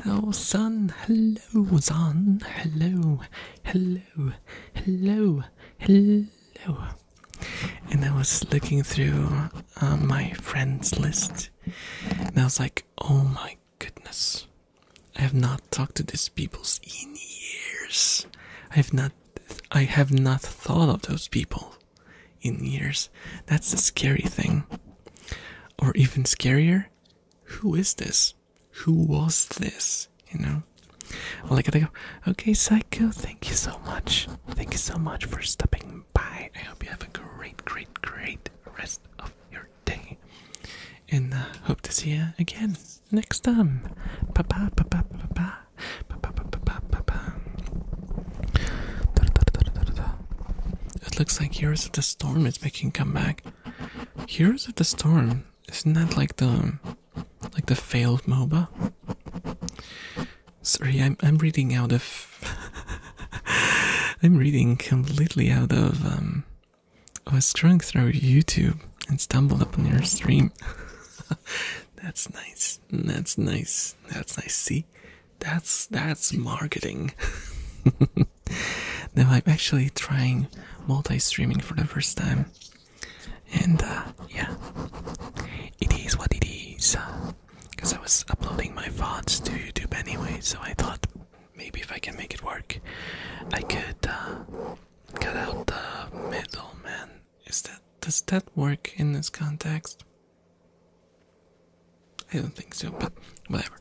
Oh, son. Hello, son. Hello. Hello. Hello. Hello. And I was looking through uh, my friends list, and I was like, oh my goodness. I have not talked to these people in years. I have not I have not thought of those people in years. That's the scary thing. Or even scarier, who is this? Who was this? You know? Well, I gotta go, okay, Psycho, thank you so much. Thank you so much for stopping by. I hope you have a great, great, great rest of your day. And uh, hope to see you again next time. Bye bye, bye bye, bye bye. Bye bye, bye bye, bye bye. It looks like Heroes of the Storm is making comeback. Heroes of the Storm, isn't that like the like the failed MOBA? Sorry, I'm I'm reading out of [LAUGHS] I'm reading completely out of um I was scrolling through YouTube and stumbled upon your stream. [LAUGHS] That's nice. That's nice. That's nice. See? That's that's marketing. [LAUGHS] now I'm actually trying multi-streaming for the first time, and uh, yeah, it is what it is. Because I was uploading my VODs to YouTube anyway, so I thought maybe if I can make it work, I could uh, cut out the middleman. Is that does that work in this context? I don't think so, but whatever.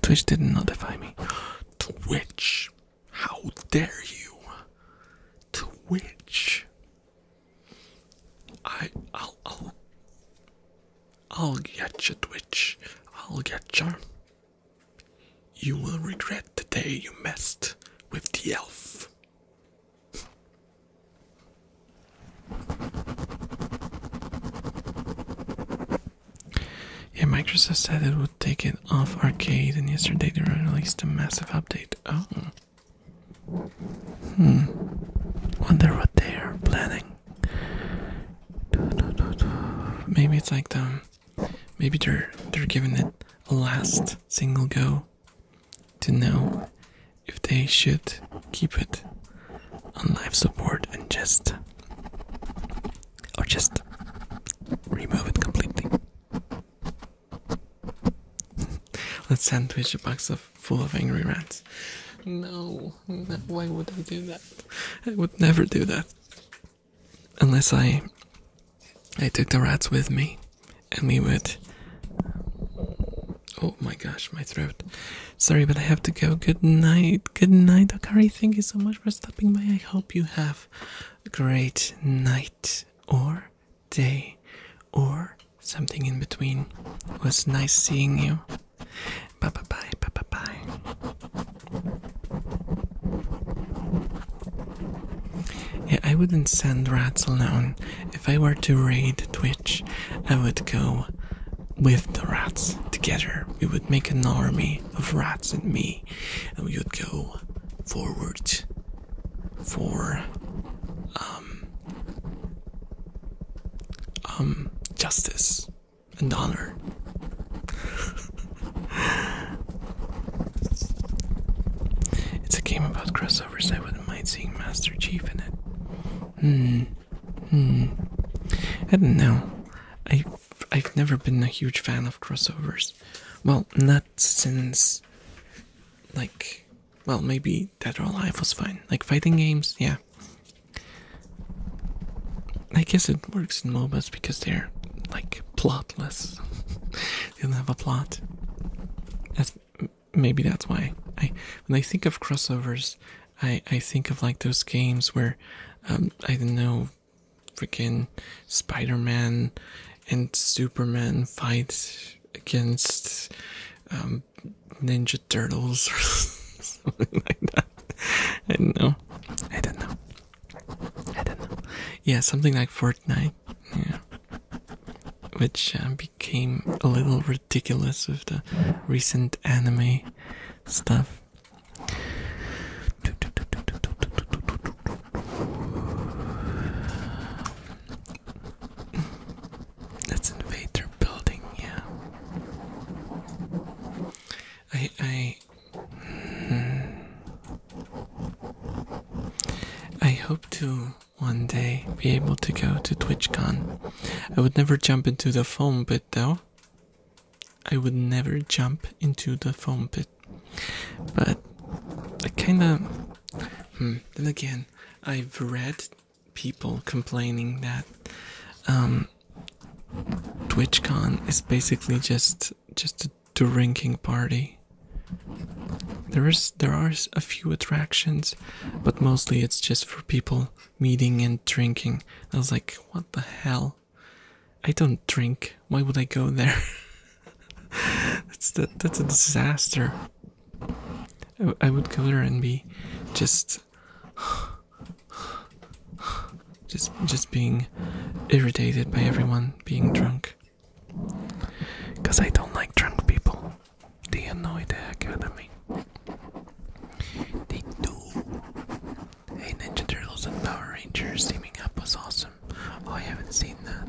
Twitch didn't notify me. Twitch! How dare you! Twitch! I I'll I'll I'll get you, Twitch. I'll get you. You will regret the day you messed with the elf. Yeah, Microsoft said it would take it off arcade, and yesterday they released a massive update. Oh. Hmm. Wonder what they are planning. Maybe it's like the um, maybe they're they're giving it a last single go to know if they should keep it on life support and just or just remove it completely. [LAUGHS] Let's sandwich a box full of angry rats. No, no, why would I do that? I would never do that. Unless I I took the rats with me and we would Oh my gosh, my throat. Sorry, but I have to go. Good night. Good night, Akari. Thank you so much for stopping by. I hope you have a great night or day or something in between. It was nice seeing you. Bye bye bye bye bye bye. Yeah, I wouldn't send rats alone. If I were to raid Twitch I would go with the rats together. We would make an army of rats and me, and we would go forward for um, um justice and honor. [LAUGHS] it's a game about crossovers. I wouldn't mind seeing Master Chief in it. Hmm. Hmm. I don't know. I I've, I've never been a huge fan of crossovers. Well, not since like well, maybe Dead or Alive was fine. Like fighting games, yeah. I guess it works in MOBAs because they're like plotless. [LAUGHS] they don't have a plot maybe that's why I when I think of crossovers, I I think of like those games where um, I don't know, freaking Spider-Man and Superman fight against um, Ninja Turtles or [LAUGHS] something like that. I don't know. I don't know. I don't know. Yeah, something like Fortnite. Yeah. Which uh, became a little ridiculous with the recent recent anime stuff. That's invader building, yeah. I I hmm. I hope to one day be able to go to TwitchCon I would never jump into the foam pit though. I would never jump into the foam pit. But I kinda hmm, then again I've read people complaining that um, TwitchCon is basically just just a drinking party. There is there are a few attractions, but mostly it's just for people meeting and drinking. I was like, what the hell? I don't drink. Why would I go there? [LAUGHS] that's that. that's a disaster. I, I would go there and be just just just being irritated by everyone being drunk. Cause I don't like drunk people. Det är Noid Academy. They do. Hey, Ninja Turtles and Power Rangers teaming up was awesome. Oh, I haven't seen that.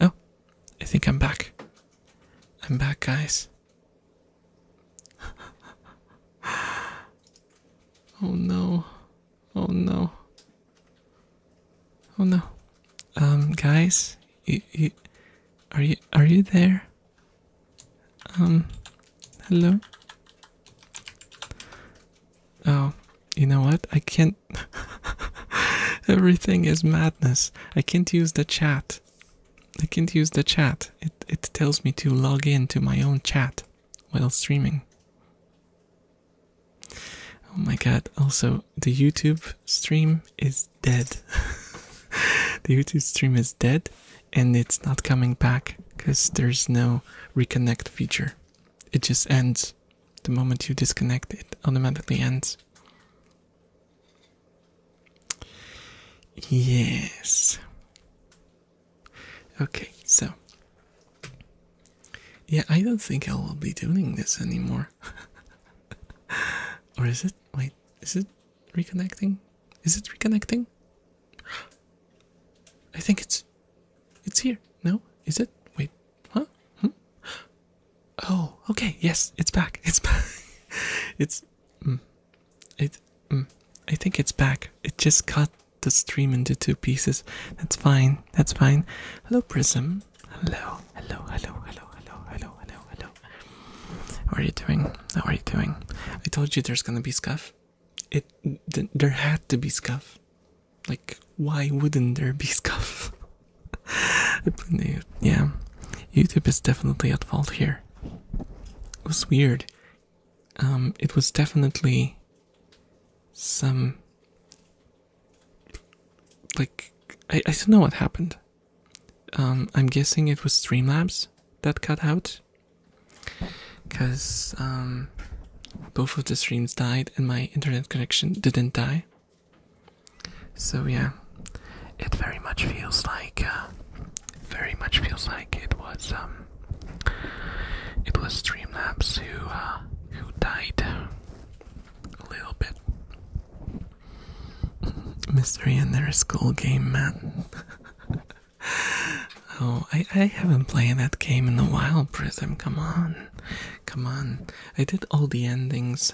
Oh, I think I'm back. I'm back, guys. [LAUGHS] oh no. Oh no. Oh no. Um, guys, you, you, are you are you there? Um, hello. Oh, you know what? I can't. [LAUGHS] Everything is madness. I can't use the chat. I can't use the chat. It it tells me to log in to my own chat while streaming. Oh my god! Also, the YouTube stream is dead. [LAUGHS] the YouTube stream is dead and it's not coming back because there's no reconnect feature. It just ends. The moment you disconnect, it automatically ends. Yes. Okay, so. Yeah, I don't think I will be doing this anymore. [LAUGHS] or is it? Wait is it reconnecting? Is it reconnecting? I think it's it's here. No? Is it? Wait. Huh? Hmm? Oh, okay. Yes, it's back. It's [LAUGHS] back. it's mm. mm, I think it's back. It just cut the stream into two pieces. That's fine. That's fine. Hello Prism. Hello. Hello, hello, hello, hello, hello, hello, hello. What are you doing? What are you doing? I told you there's gonna be scuff. It there had to be scuff. Like, why wouldn't there be [LAUGHS] scuff? yeah, YouTube is definitely at fault here. It was weird. Um, it was definitely some like I, I don't know what happened. Um, I'm guessing it was Streamlabs that cut out because um, both of the streams died and my internet connection didn't die. So, yeah, it very much feels like, uh, very much feels like it was, um, it was Streamlabs who, uh, who died a little bit. [CLEARS THROAT] mystery in their school game, man. [LAUGHS] oh, I, I haven't played that game in a while, Prism. Come on. Come on. I did all the endings.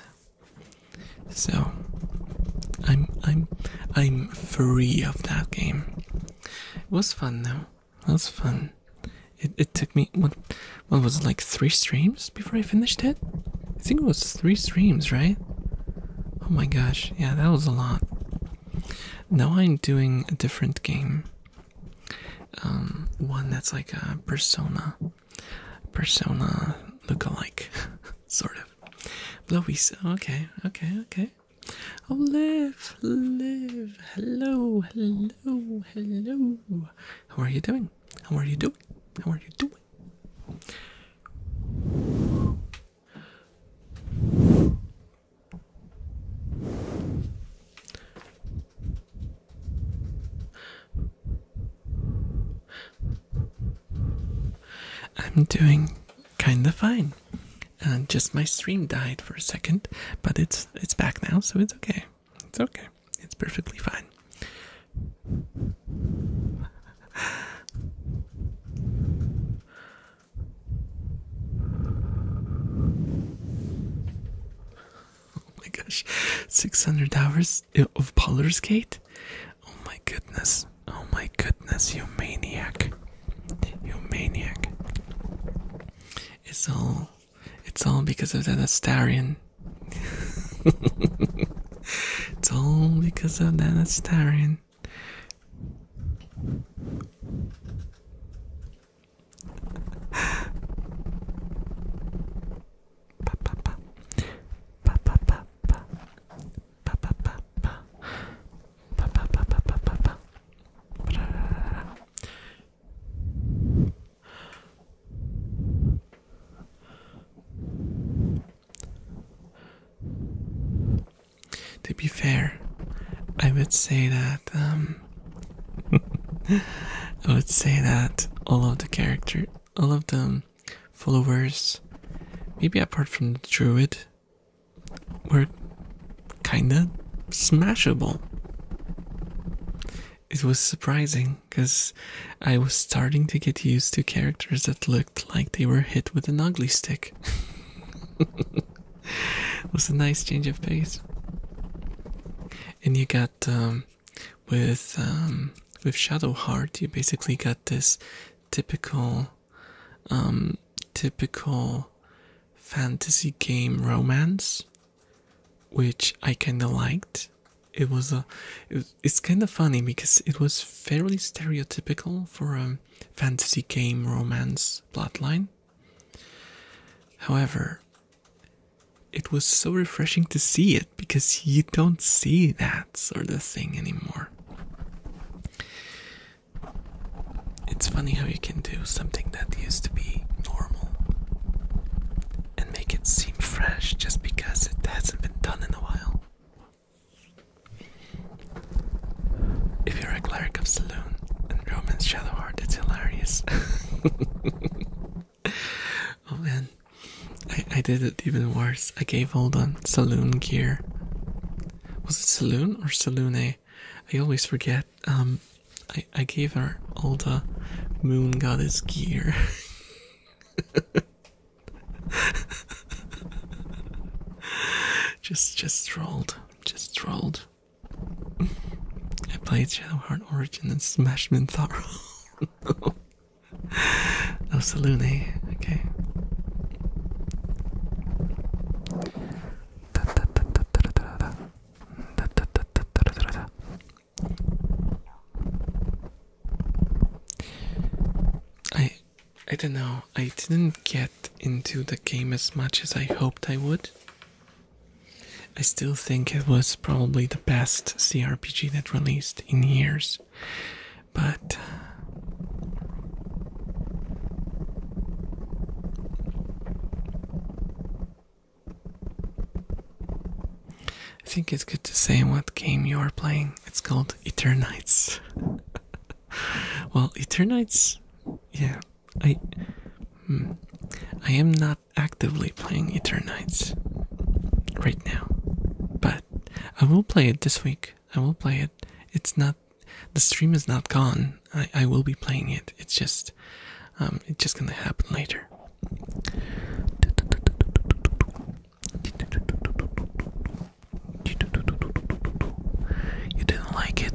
So I'm I'm I'm free of that game. It was fun though. It was fun. It it took me what what was it like three streams before I finished it? I think it was three streams, right? Oh my gosh, yeah, that was a lot. Now I'm doing a different game. Um, one that's like a persona, persona look-alike, [LAUGHS] sort of. Blowies, okay, okay, okay. Oh, live, live. Hello, hello, hello. How are you doing? How are you doing? How are you doing? I'm doing kind of fine. Uh, just my stream died for a second, but it's it's back now, so it's okay. It's okay. It's perfectly fine. Oh my gosh, six hundred hours of Poller's Gate. Oh my goodness! Oh my goodness! You maniac! You maniac! It's all, it's all because of that Astarian. [LAUGHS] it's all because of that Astarian. To be fair, I would say that um, [LAUGHS] I would say that all of the characters, all of the followers, maybe apart from the druid, were kinda smashable. It was surprising because I was starting to get used to characters that looked like they were hit with an ugly stick. [LAUGHS] was a nice change of pace. And you got um, with um, with Shadowheart, you basically got this typical, um, typical fantasy game romance, which I kind of liked. It was a, it's kind of funny because it was fairly stereotypical for a fantasy game romance plotline. However, it was so refreshing to see it because you don't see that sort of thing anymore. It's funny how you can do something that used to be normal and make it seem fresh just because it hasn't been done in a while. If you're a cleric of Saloon and Roman's Shadow Heart, it's hilarious. [LAUGHS] oh man, I, I did it even worse. I gave all the Saloon gear. Was it Saloon or Saloone? I always forget. Um, I, I gave her all the moon goddess gear. [LAUGHS] [LAUGHS] just just rolled, Just rolled. I played Shadowheart Origin and smashed Mintharo. [LAUGHS] no. no Okay. I don't know, I didn't get into the game as much as I hoped I would. I still think it was probably the best CRPG that released in years, but. I think it's good to say what game you are playing. It's called Eternites. [LAUGHS] [LAUGHS] well, Eternites, yeah, I, hmm, I am not actively playing Eternites right now, but I will play it this week. I will play it. It's not the stream is not gone. I I will be playing it. It's just um it's just gonna happen later. You didn't like it?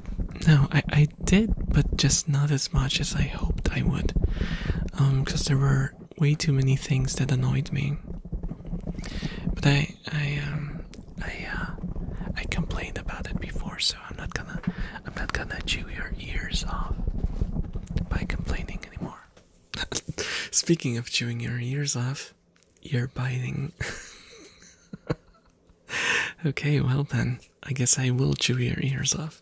No, I, I did, but just not as much as I hoped I would. Um, because there were way too many things that annoyed me. But I, I, um, I, uh, I complained about it before, so I'm not gonna, I'm not gonna chew your ears off by complaining anymore. [LAUGHS] Speaking of chewing your ears off, you're biting. [LAUGHS] okay, well then, I guess I will chew your ears off.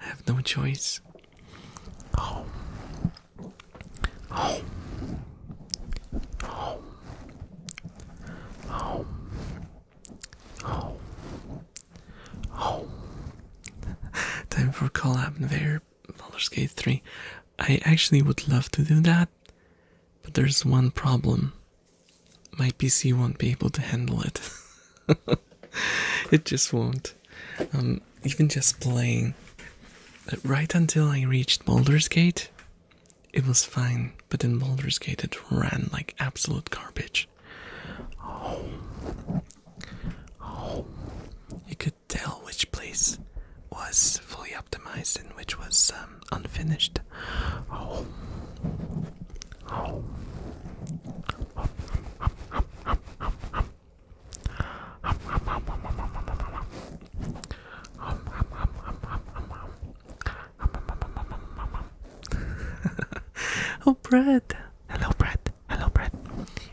I have no choice. Oh. Oh. Oh. Oh. Oh. Oh. Time for collab and Baldur's Gate 3. I actually would love to do that, but there's one problem. My PC won't be able to handle it. [LAUGHS] it just won't. Um, even just playing. Uh, right until I reached Boulder's Gate, it was fine. But in Boulder's Gate, it ran like absolute garbage. Oh. Oh. You could tell which place was fully optimized and which was um, unfinished. [LAUGHS] Oh. Oh. oh, Brad! Hello, Brad! Hello, Brad!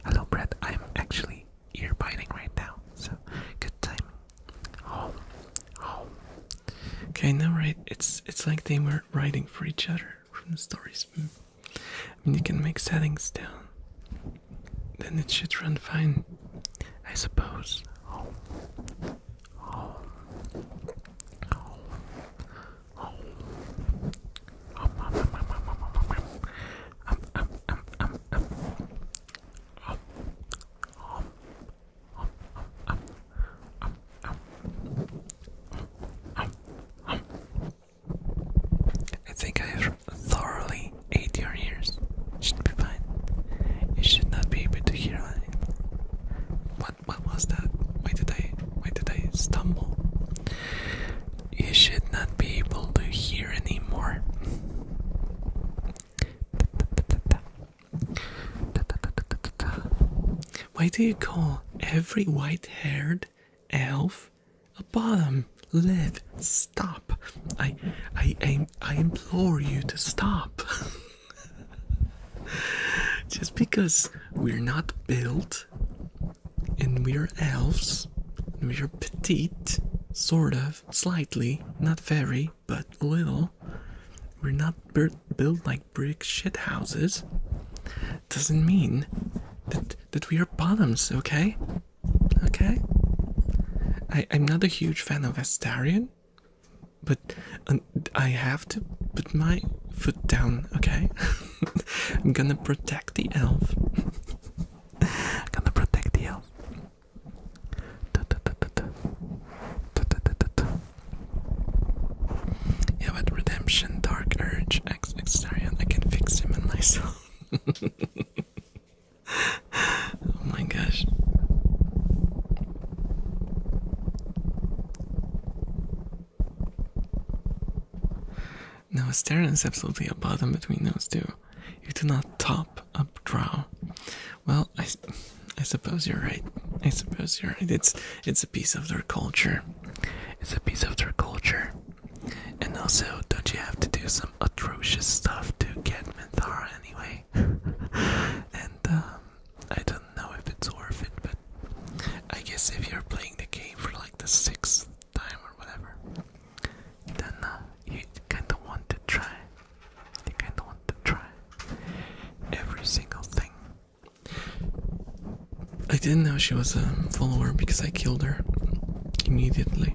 Hello, Brad! I'm actually you're biting right now. So good timing. Oh, oh. Okay, now right, it's it's like they were writing for each other from the stories. I mean, you can make settings down. Then it should run fine, I suppose. Oh, oh, oh, oh. Um, I think I have thoroughly ate your ears. Should be fine. You should not be able to hear What what was that? Why did I why did I stumble? You should not be able to hear anymore. Why do you call every white haired elf a bottom? Live, stop. I I I implore you to stop. [LAUGHS] Just because we're not built and we're elves, we're petite, sort of, slightly, not very, but little. We're not built like brick shit houses. Doesn't mean that that we are bottoms, okay? Okay. I I'm not a huge fan of Astarian, but um, I have to put my foot down, okay? [LAUGHS] I'm gonna protect the elf. [LAUGHS] I'm gonna protect the elf. [LAUGHS] Yeah, but redemption, dark urge, ex exterion, I can fix him and myself. [LAUGHS] oh my gosh. No, Asterion is absolutely a bottom between those two. You do not top up draw. Well, I, I suppose you're right. I suppose you're right. It's it's a piece of their culture. It's a piece of their culture. And also, don't you have to do some atrocious stuff to get Minthara anyway? [LAUGHS] and um, I don't know if it's worth it, but I guess if you're playing the game for like the sixth time or whatever, then uh, you kind of want to try. I kinda want to try every single thing. I didn't know she was a follower because I killed her immediately. [LAUGHS]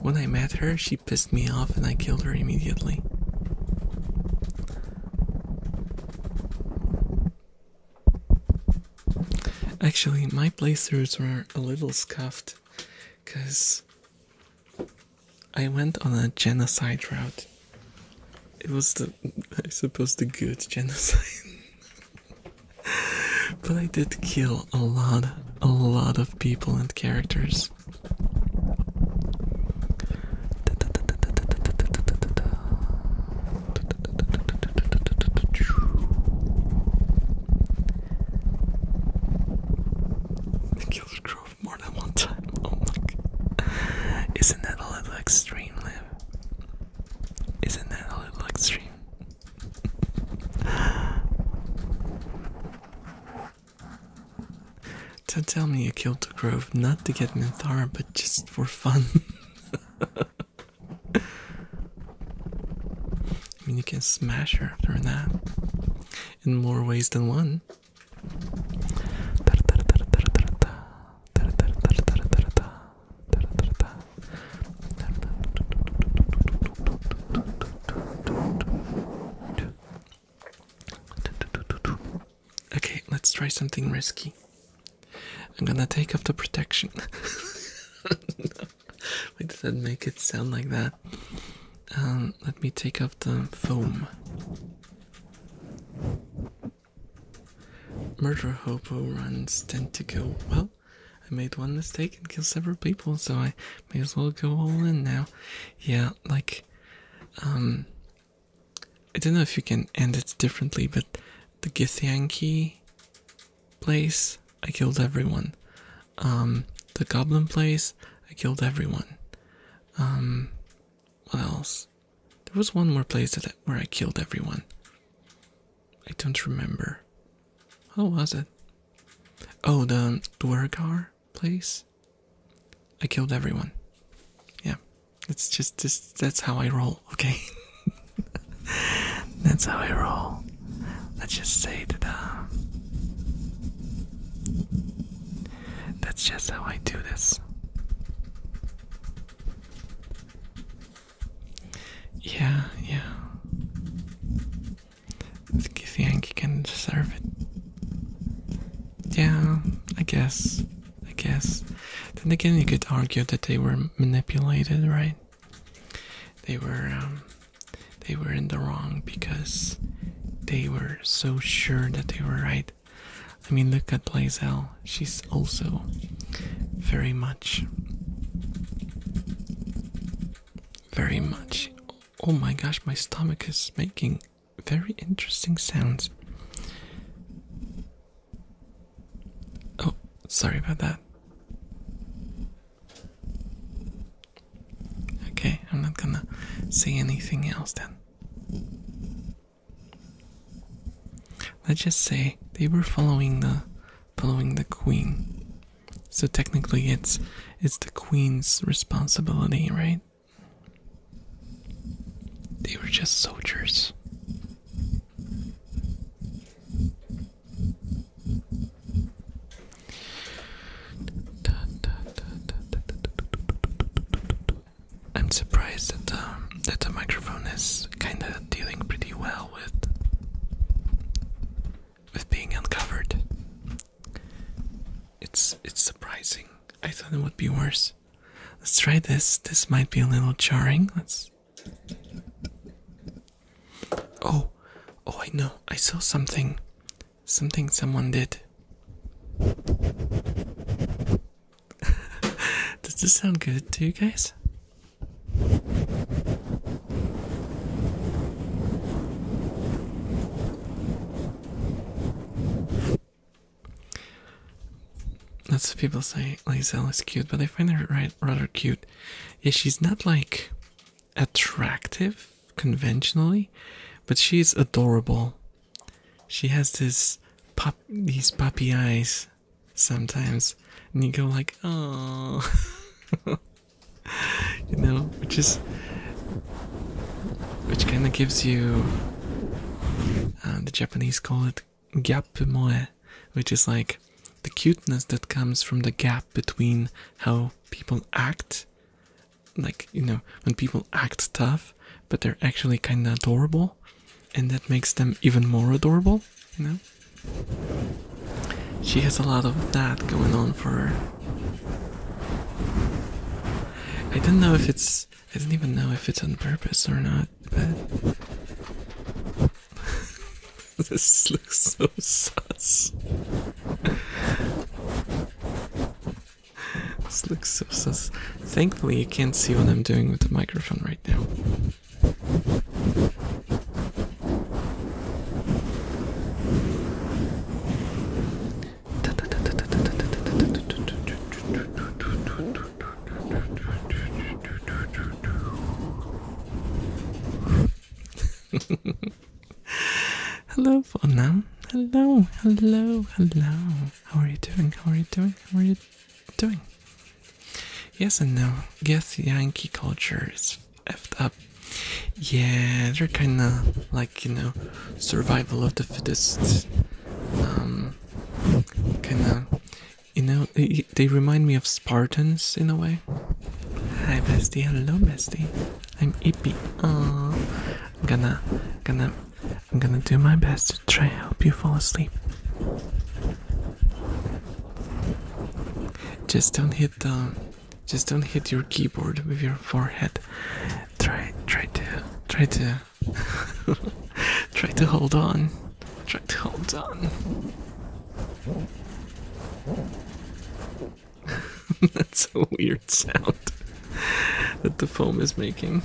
when I met her, she pissed me off and I killed her immediately. Actually, my playthroughs were a little scuffed because I went on a genocide route. It was the, I suppose, the good genocide. but I did kill a lot, a lot of people and characters. The Kills more than one time. [LAUGHS] Oh my god. Isn't that a little extreme, Liv? Isn't that a little extreme? [LAUGHS] Don't tell me you killed the Grove not to get Minthara, but just for fun. [LAUGHS] I mean, you can smash her after that in more ways than one. Okay, let's try something risky. I'm gonna take off the protection. [LAUGHS] Wait, does that make it sound like that? Um, let me take off the foam. Murder hobo runs tend to go Well, I made one mistake and killed several people, so I may as well go all in now. Yeah, like, um, I don't know if you can end it differently, but the Githyanki place, I killed everyone. Um, the goblin place, I killed everyone. Um, what else? There was one more place that where I killed everyone. I don't remember. How was it? Oh, the Dwargar place. I killed everyone. Yeah, it's just this. That's how I roll. Okay, [LAUGHS] that's how I roll let's just say that um, that's just how I do this. Yeah, yeah. You think you can deserve it? Yeah, I guess. I guess. Then again, you could argue that they were manipulated, right? They were um, they were in the wrong because they were so sure that they were right. I mean, look at Blaisel; She's also very much, very much. Oh my gosh, my stomach is making very interesting sounds. Oh, sorry about that. Okay, I'm not gonna say anything else then. Let's just say they were following the following the queen. So technically it's it's the queen's responsibility, right? They were just soldiers. I'm surprised that um, that the microphone is kind of dealing pretty well with with being uncovered. It's it's surprising. I thought it would be worse. Let's try this. This might be a little jarring. Let's Oh, oh, I know. I saw something. Something someone did. [LAUGHS] Does this sound good to you guys? Lots of people say Lizelle is cute, but I find her rather cute. Yeah, she's not like attractive conventionally, but she's adorable. She has this pop these puppy eyes sometimes, and you go like, oh, [LAUGHS] you know, which is which kind of gives you uh, the Japanese call it gap moe, which is like the cuteness that comes from the gap between how people act like you know when people act tough but they're actually kind of adorable and that makes them even more adorable you know she has a lot of that going on for her i don't know if it's i don't even know if it's on purpose or not but [LAUGHS] [LAUGHS] this looks so sus. this looks so sus. Thankfully, you can't see what I'm doing with the microphone right now. [LAUGHS] hello, Fonna. Hello, hello, hello. How are you doing? How are you doing? How are you doing? Yes and no. Guess Yankee culture is effed up. Yeah, they're kind of like, you know, survival of the fittest. Um, kind of, you know, they, they remind me of Spartans in a way. Hi, bestie. Hello, bestie. I'm Ipi. Uh, I'm gonna, gonna, I'm gonna do my best to try help you fall asleep. Just don't hit the, just don't hit your keyboard with your forehead. Try, try to, try to, [LAUGHS] try to hold on. Try to hold on. [LAUGHS] That's a weird sound that the foam is making.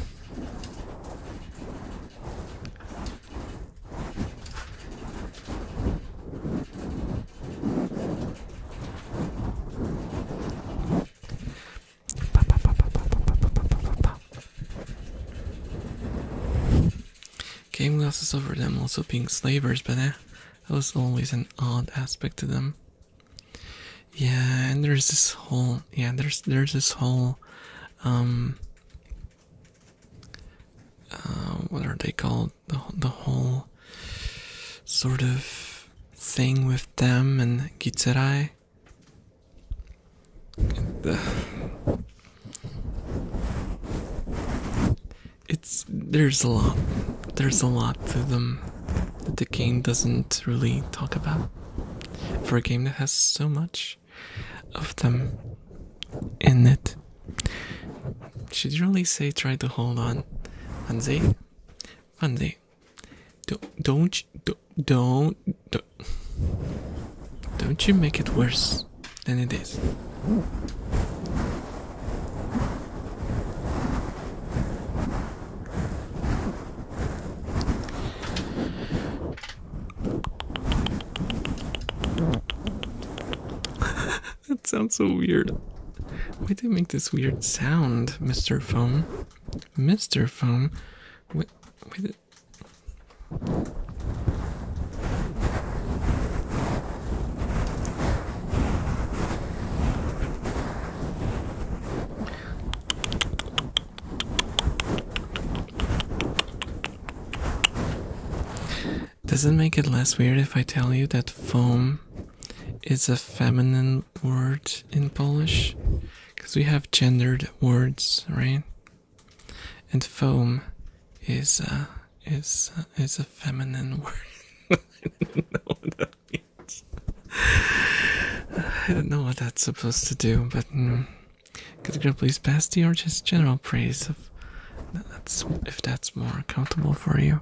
Game glasses over them also being slavers, but eh? That was always an odd aspect to them. Yeah, and there's this whole yeah, there's there's this whole um uh, what are they called? The the whole sort of thing with them and Gitserai it's there's a lot there's a lot to them that the game doesn't really talk about for a game that has so much of them in it should really say try to hold on Fanzi Fanzi don't don't don't don't don't you make it worse than it is [LAUGHS] that sounds so weird. Why do you make this weird sound, Mr. Foam? Mr. Foam? With, wait. Does it make it less weird if I tell you that foam is a feminine word in Polish? Because we have gendered words, right? And foam is a, is is a feminine [LAUGHS] word. I don't know what that's supposed to do, but mm, could the please pass the or just general praise of that's if that's more comfortable for you.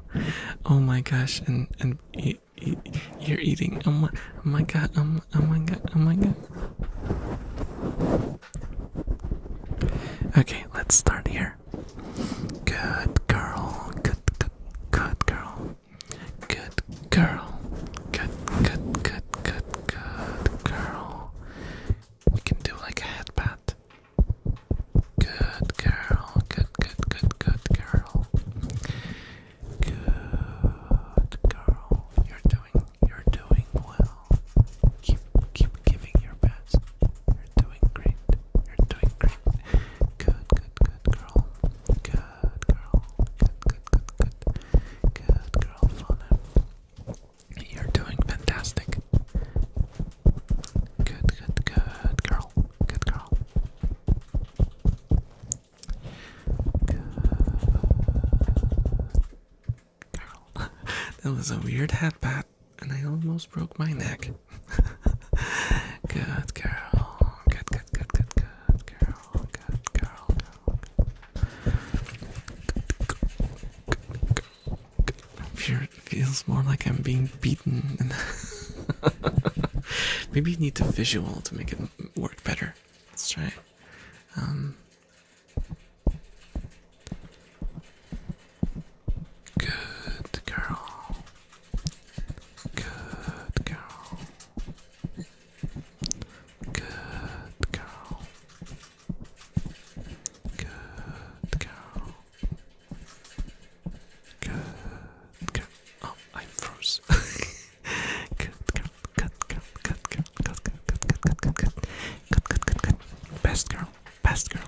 Oh my gosh, and and e e you're eating. Oh my, oh my god. Oh oh my god. Oh my god. Okay, let's start here here. Good girl. Good, good, good girl. Good girl. Good, good, good, good, good girl. You can do like a head pat. Good girl. Good, good, good, good girl. Good girl. You're doing, you're doing well. Keep, keep giving your best. You're doing great. You're doing great. Good, good, good girl. Good girl. Good, good, good, good. Good girl, Fauna. You're doing fantastic. Good, good, good girl. Good girl. Good girl. [LAUGHS] that was a weird hat pat, and I almost broke my neck good girl. Good, good, good, good, good girl. Good girl. I'm it feels more like I'm being beaten. Maybe you need the visual to make it work better. Let's try it. good girl. Good girl. Good girl. Good girl. Good girl. Oh, I froze. Good girl. Good girl. Good girl. Good girl. Good girl. Good girl. Good, good, good, good. Best girl. Best girl.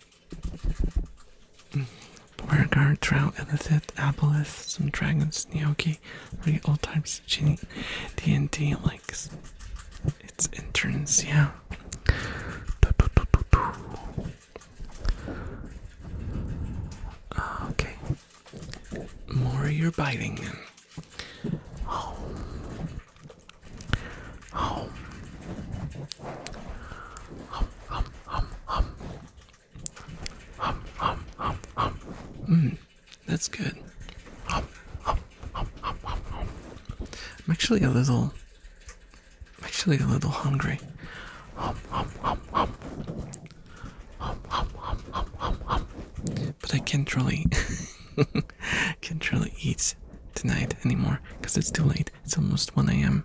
[LAUGHS] Beauregard, Trout, Illicit, Abolus, some Dragons, Nyoki, three all types of Genie, D&D likes its interns, yeah. Okay. More you're biting. Oh. Hum, hum, hum, hum. Hum, hum, hum, hum. Mm, that's good. Hum, hum, hum, hum, hum, hum. I'm actually a little. actually a little hungry. hum, hum. Hum, hum, hum, hum, hum, hum. But I can't really, [LAUGHS] can't really eat tonight anymore because it's too late. It's almost 1 a.m.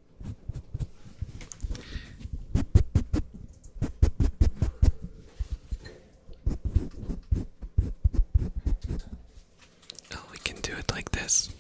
Oh, we can do it like this.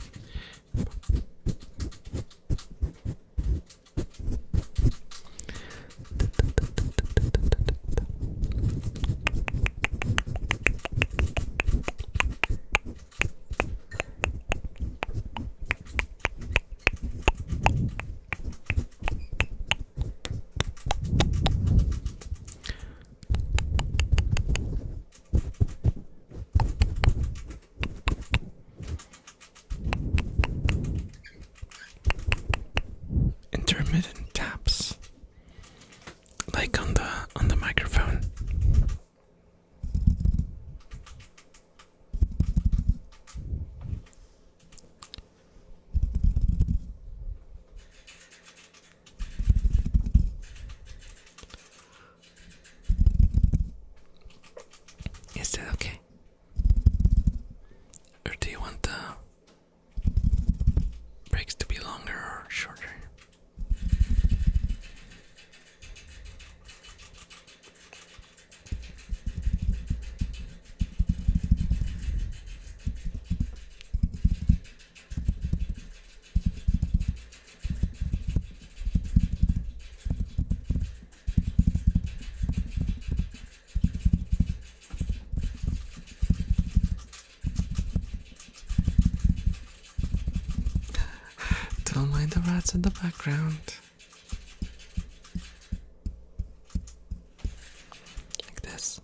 Intermittent taps like on the on the microphone. Is that okay? Or do you want the breaks to be longer or shorter? Don't mind the rats in the background. Like this.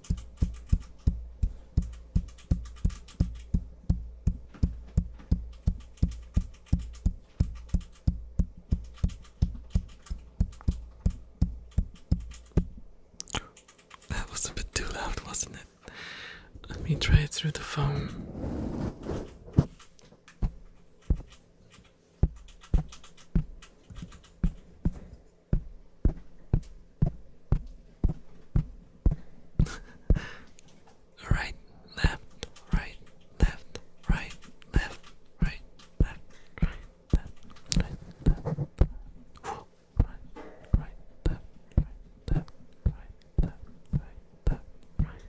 That was a bit too loud, wasn't it? Let me try it through the phone right, left, right, left, right, left, right, left, right, left, right, left, right, right, left, right, left, right, left, right, left, right.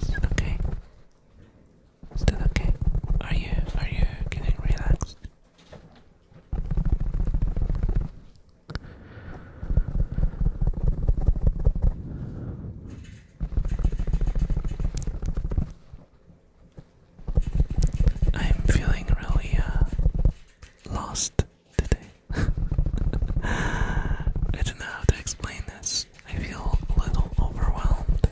Is that okay? Is that okay? Are you are you getting relaxed? I'm feeling really uh, lost today. [LAUGHS] I don't know how to explain this. I feel a little overwhelmed.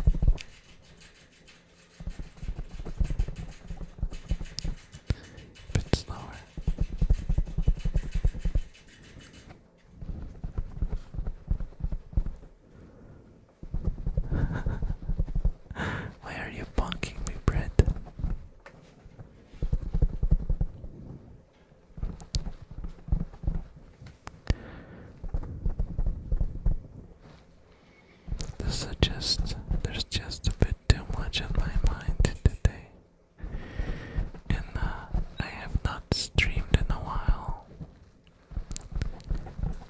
bit slower. [LAUGHS] Why are you punking me, Brett? This just, there's just a bit too much on my mind today. And uh, I have not streamed in a while.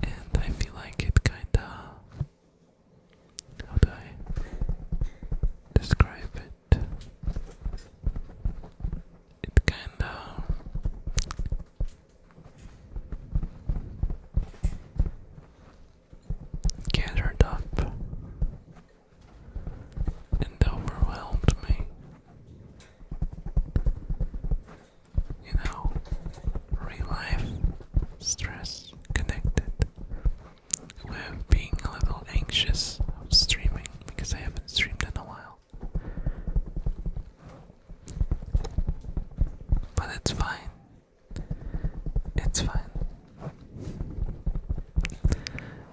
And I feel like it kinda. How do I describe it? it kinda gathered up and overwhelmed me. You know, real life stress connected with being a little anxious of streaming because I haven't streamed in a while. But it's fine. It's fine.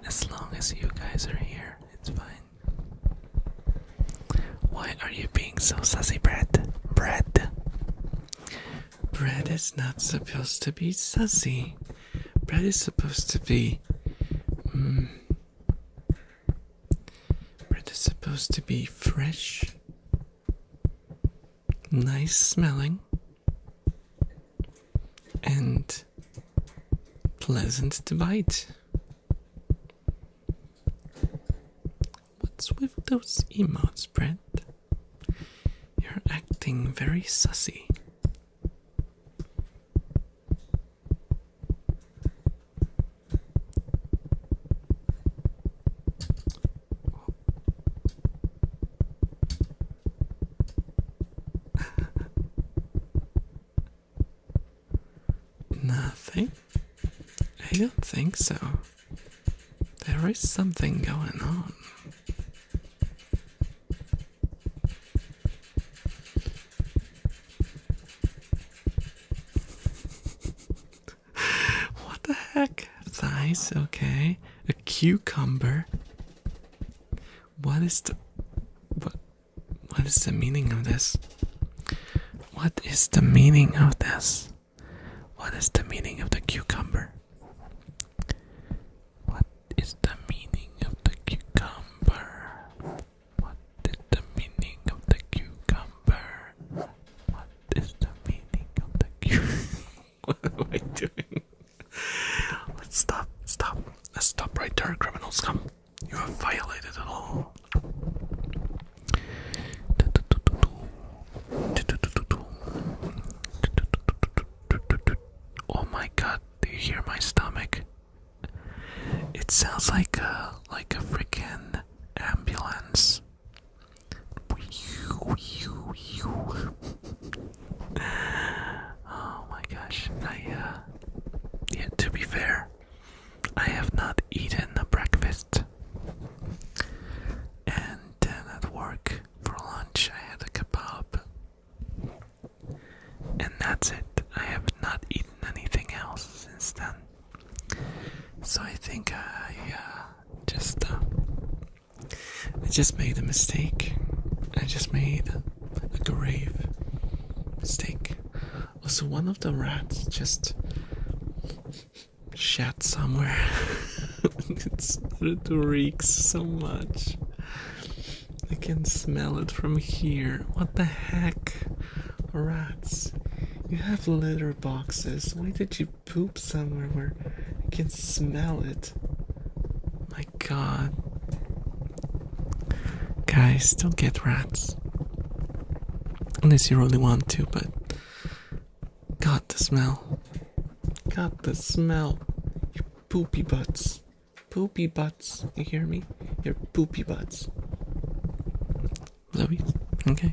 As long as you guys are here, it's fine. Why are you being so sassy, bread? Bread. Bread is not supposed to be sassy. Bread is supposed to be. Mm, but it's supposed to be fresh, nice smelling, and pleasant to bite. What's with those emotes, Brett? You're acting very sussy. Nothing? I don't think so. There is something going on. [LAUGHS] what the heck? Thighs, okay. A cucumber. What is the what what is the meaning of this? What is the meaning of this? What is the meaning of the cucumber? What is the meaning of the cucumber? What is the meaning of the cucumber? What is the meaning of the cucumber? [LAUGHS] what am I doing? Let's stop, stop. Let's stop right there, criminals. Come. You have violated the law. Oh my god, do you hear my stomach? It sounds like a like a freaking ambulance. [LAUGHS] oh my gosh! I uh, yeah. To be fair, I have not eaten a breakfast, and then at work for lunch I had a kebab, and that's it. I have not eaten anything else since then. So I think I uh, just uh, I just made a mistake. I just made a grave mistake. Also, one of the rats just shat somewhere. it's, [LAUGHS] it reeks so much. I can smell it from here. What the heck? Rats, you have litter boxes. Why did you poop somewhere where I can smell it? My god. Guys, don't get rats. Unless you really want to, but. got the smell. Got the smell. You poopy butts. Poopy butts. You hear me? Your poopy butts. Louise. Okay.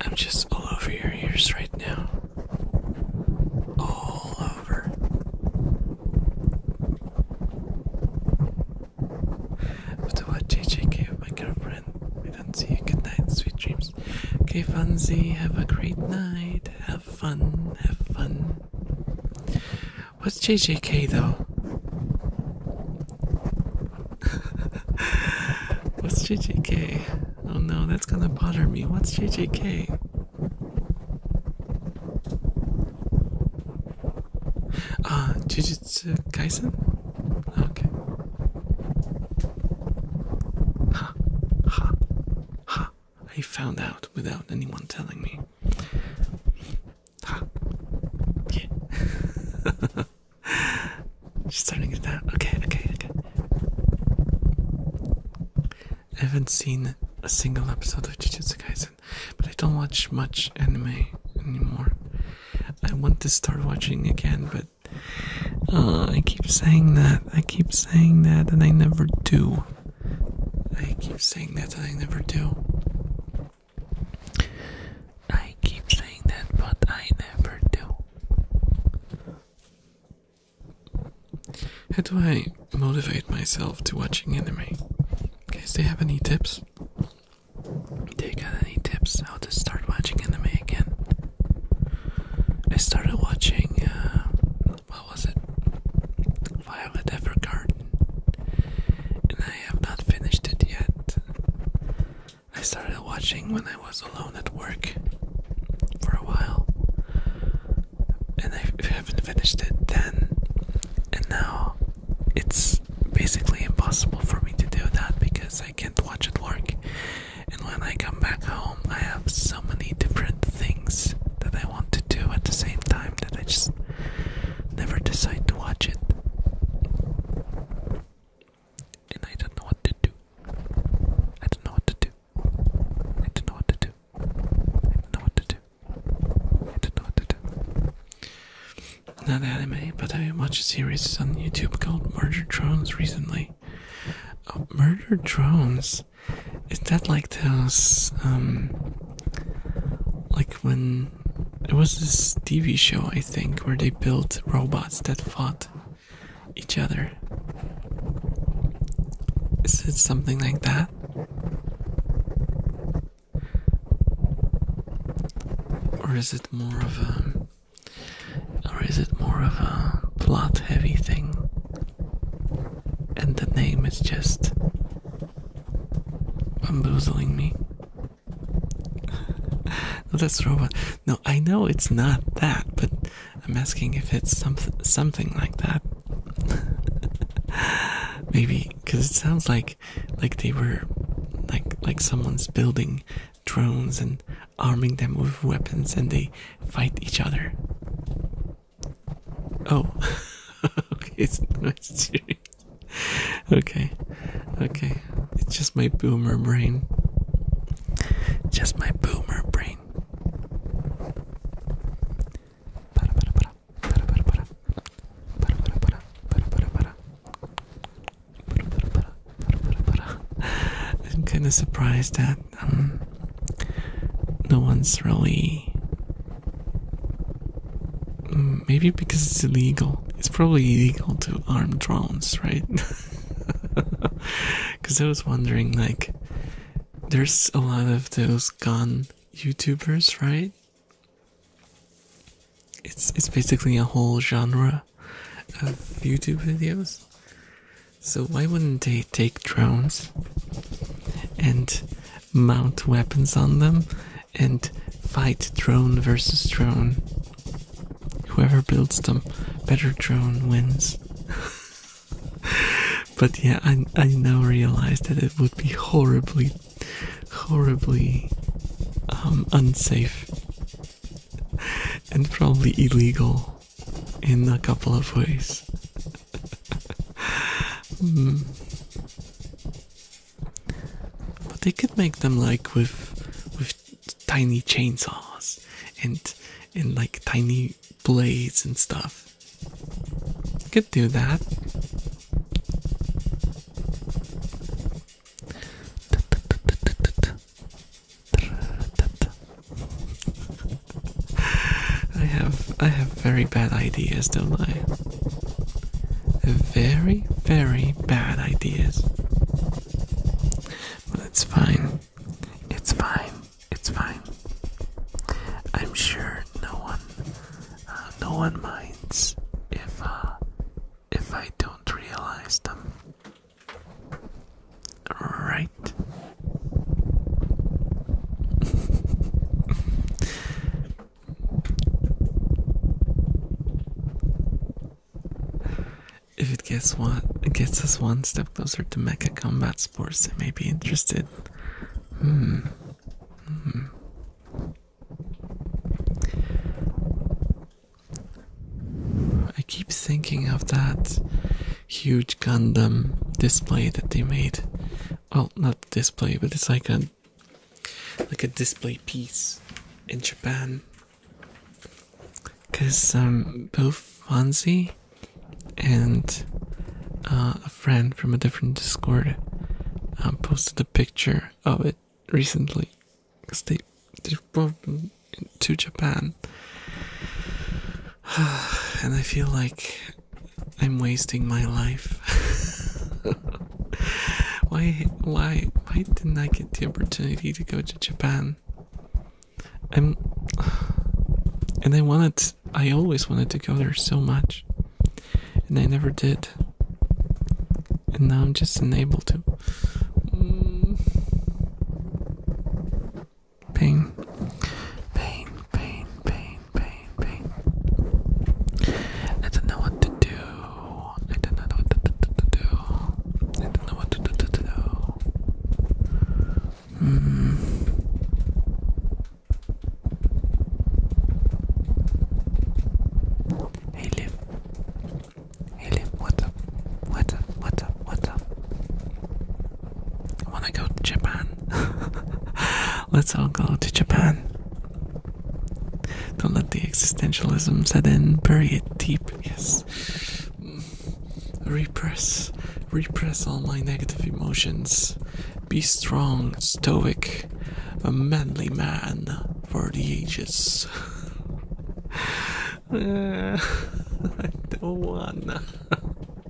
I'm just all over your ears right now. All over. After what JJ gave my girlfriend, we don't see you. Good night, sweet dreams. Okay, Fonzie, have a great night. Have fun, have fun. What's JJK though? [LAUGHS] What's JJK? Oh no, that's gonna bother me. What's JJK? Ah, uh, Jujutsu Kaisen? Okay. Ha, ha, ha. I found out without anyone telling me. Ah. [LAUGHS] Yeah. starting it out. Okay, okay, okay. I haven't seen a single episode of Jujutsu Kaisen, but I don't watch much anime anymore. I want to start watching again, but uh, I keep saying that, I keep saying that, and I never do. I keep saying that and I never do. I keep saying that, but I never do. How do I motivate myself to watching anime? Guys, do you have any tips? Do you got any tips how to start watching anime again? I started watching, uh, was it? Violet Evergarden. And I have not finished it yet. I started watching when I was alone at work for a while. And I haven't finished it then. And now it's basically impossible for me to do that because I can't watch at work. And when I come back home, I have so many different things that I want to do at the same time that I just never decide to watch it. And I don't know what to do. I don't know what to do. I don't know what to do. I don't know what to do. I don't know what to do. Not anime, but I watched a series on YouTube called Murder Drones recently. Oh, Murder Drones is that like those um, like when it was this TV show I think where they built robots that fought each other. Is it something like that? Or is it more of a or is it more of a plot heavy thing? and the name is just bamboozling me. [LAUGHS] That's robot. No, I know it's not that, but I'm asking if it's something something like that. [LAUGHS] Maybe because it sounds like like they were like like someone's building drones and arming them with weapons and they fight each other. Oh, [LAUGHS] okay, it's not serious. Okay, okay, it's just my boomer brain. Just my boomer brain. I'm kind of surprised that um, no one's really. Mm, maybe because it's illegal. It's probably illegal to arm drones, right? Because [LAUGHS] I was wondering, like, there's a lot of those gun YouTubers, right? It's it's basically a whole genre of YouTube videos. So why wouldn't they take drones and mount weapons on them and fight drone versus drone. Whoever builds them, better drone wins. [LAUGHS] but yeah, I, I now realize that it would be horribly, horribly um, unsafe [LAUGHS] and probably illegal in a couple of ways mm. But they could make them like with with tiny chainsaws and and like tiny blades and stuff. Could do that. I have I have very bad ideas, don't I? Very, very bad ideas. But it's fine. It's fine. It's fine. I'm sure no one, uh, no one minds if uh, if I don't realize them. Right. [LAUGHS] If it gets one, it gets us one step closer to Mecha Combat Sports, it may be interested. Hmm. Hmm. I keep thinking of that huge Gundam display that they made well not display but it's like a like a display piece in Japan because um both Fonzie and uh, a friend from a different Discord um, posted a picture of it recently because they they've both to Japan [SIGHS] and I feel like I'm wasting my life. [LAUGHS] why, why, why didn't I get the opportunity to go to Japan? I'm, and I wanted, I always wanted to go there so much, and I never did. And now I'm just unable to. Pain, pain, pain, pain, pain, pain, pain. I don't know what to do. I don't know what to, to, to do. I don't know what to, to, to do. Mm. Hey Liv. Hey Liv, what's up? What's up? What's up? What's up? I wanna go to Japan. [LAUGHS] Let's all go to Japan. Don't let the existentialism set in. Bury it deep. Yes. Repress. Repress all my negative emotions. Be strong, stoic, a manly man for the ages. uh, [LAUGHS] I don't wanna. [LAUGHS]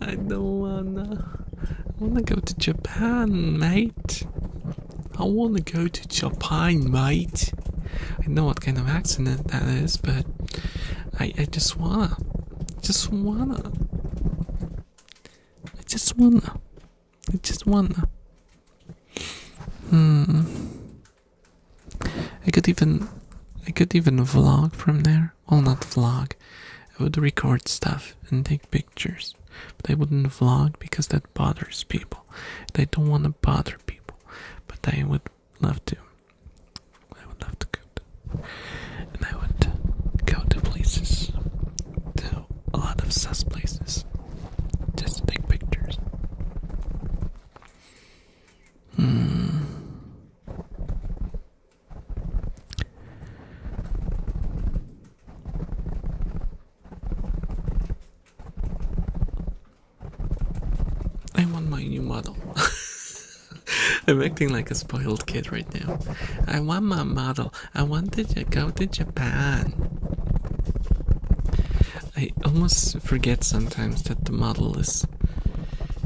I don't wanna. I wanna go to Japan, mate. I wanna go to Japan, mate. I know what kind of accident that is, but I I just wanna, just wanna, I just wanna, I just wanna. Hmm. I could even, I could even vlog from there well not vlog i would record stuff and take pictures but i wouldn't vlog because that bothers people They don't want to bother people but i would love to i would love to go to, and i would go to places to a lot of sus places just to take pictures hmm. I want my new model. [LAUGHS] I'm acting like a spoiled kid right now. I want my model. I want to go to Japan. I almost forget sometimes that the model is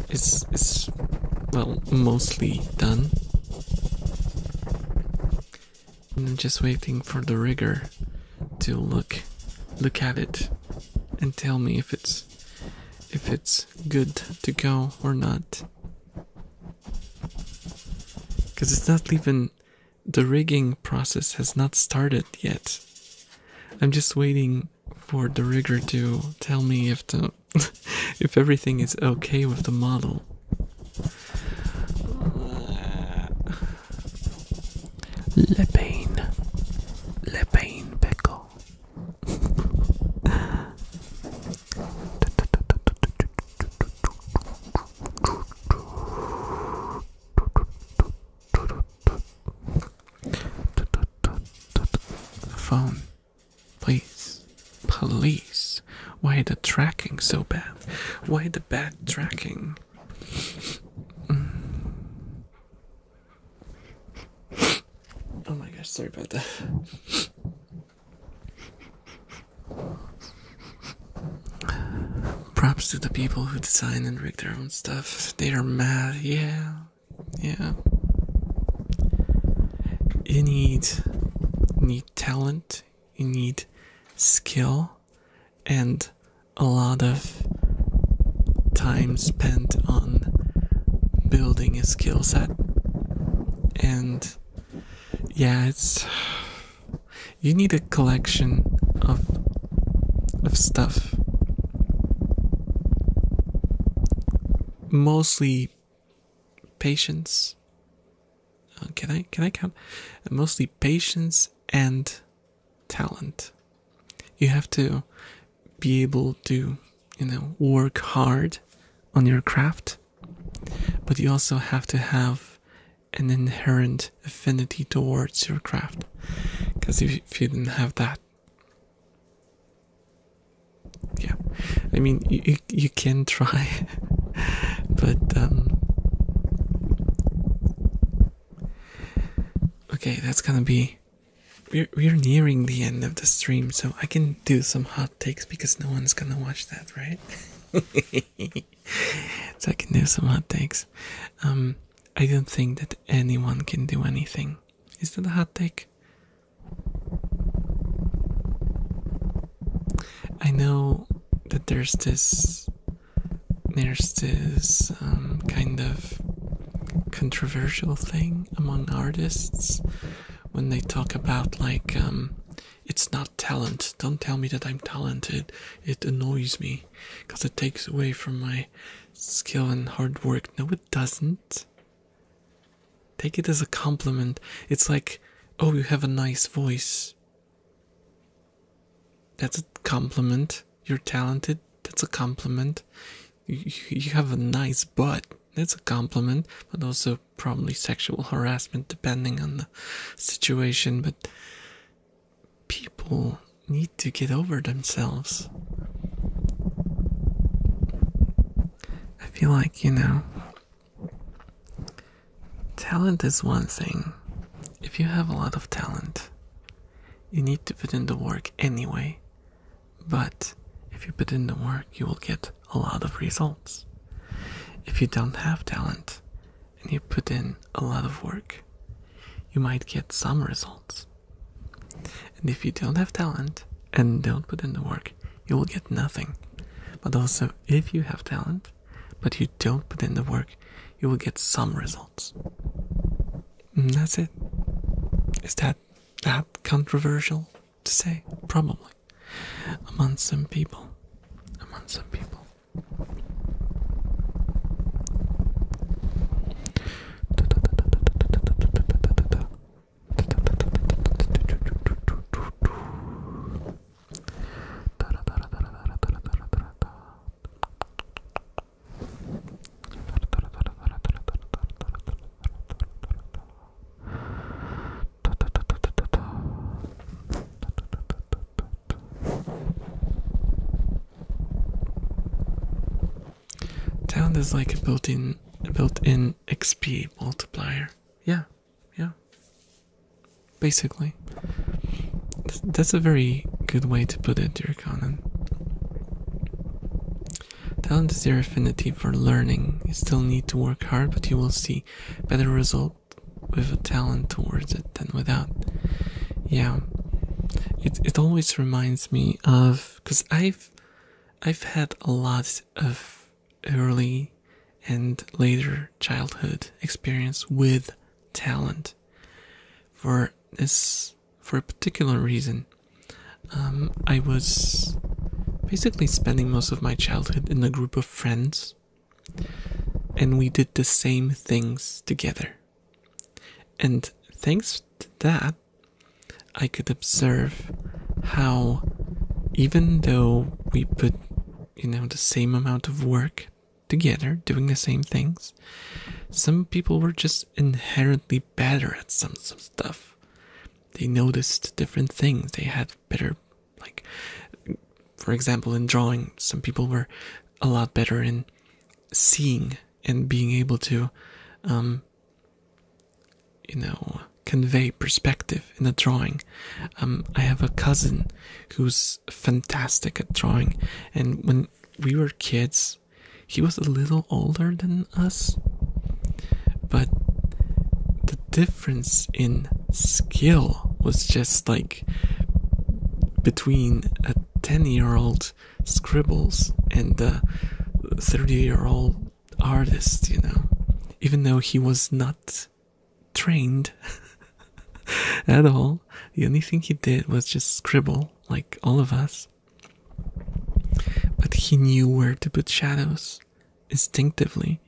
is is well mostly done I'm just waiting for the rigger to look look at it and tell me if it's if it's good to go or not. Cause it's not even the rigging process has not started yet. I'm just waiting for the rigger to tell me if the [LAUGHS] if everything is okay with the model. Le pain, le pain pickle. phone Please, police! Why the tracking so bad? Why the bad tracking? Oh my gosh, sorry about that. Props to the people who design and rig their own stuff. They are mad, yeah. Yeah. You need need talent, you need skill and a lot of time spent on building a skill set and yeah it's you need a collection of of stuff mostly patience. Uh, can I can I count? mostly patience and talent. You have to be able to, you know, work hard on your craft, but you also have to have an inherent affinity towards your craft. Because if, you didn't have that, yeah, I mean, you you can try [LAUGHS] but um okay that's gonna be we're, we're nearing the end of the stream so i can do some hot takes because no one's gonna watch that right [LAUGHS] so i can do some hot takes um i don't think that anyone can do anything is that a hot take I know that there's this there's this um, kind of controversial thing among artists when they talk about like um, it's not talent. Don't tell me that I'm talented. It annoys me because it takes away from my skill and hard work. No, it doesn't. Take it as a compliment. It's like Oh, you have a nice voice. That's a compliment. You're talented. That's a compliment. You, have a nice butt. That's a compliment, but also probably sexual harassment depending on the situation. But people need to get over themselves. I feel like, you know, Talent is one thing. If you have a lot of talent, you need to put in the work anyway. But if you put in the work, you will get a lot of results. If you don't have talent and you put in a lot of work, you might get some results. And if you don't have talent and don't put in the work, you will get nothing. But also, if you have talent but you don't put in the work, you will get some results. Mm, that's it. Is that that controversial to say? Probably. Among some people. Among some people. Town is like a built-in built-in XP multiplier. Yeah, yeah basically that's a very good way to put it your conan talent is your affinity for learning you still need to work hard but you will see better result with a talent towards it than without yeah it, it always reminds me of because i've i've had a lot of early and later childhood experience with talent. For this, for a particular reason, um, I was basically spending most of my childhood in a group of friends, and we did the same things together. And thanks to that, I could observe how, even though we put you know, the same amount of work together, doing the same things. Some people were just inherently better at some, stuff. They noticed different things. They had better, like, for example, in drawing, some people were a lot better in seeing and being able to, um, you know, convey perspective in a drawing. Um, I have a cousin who's fantastic at drawing, and when we were kids, he was a little older than us, but the difference in skill was just like between a 10 year old scribbles and a 30 year old artist, you know, even though he was not trained [LAUGHS] at all. The only thing he did was just scribble, like all of us. But he knew where to put shadows instinctively.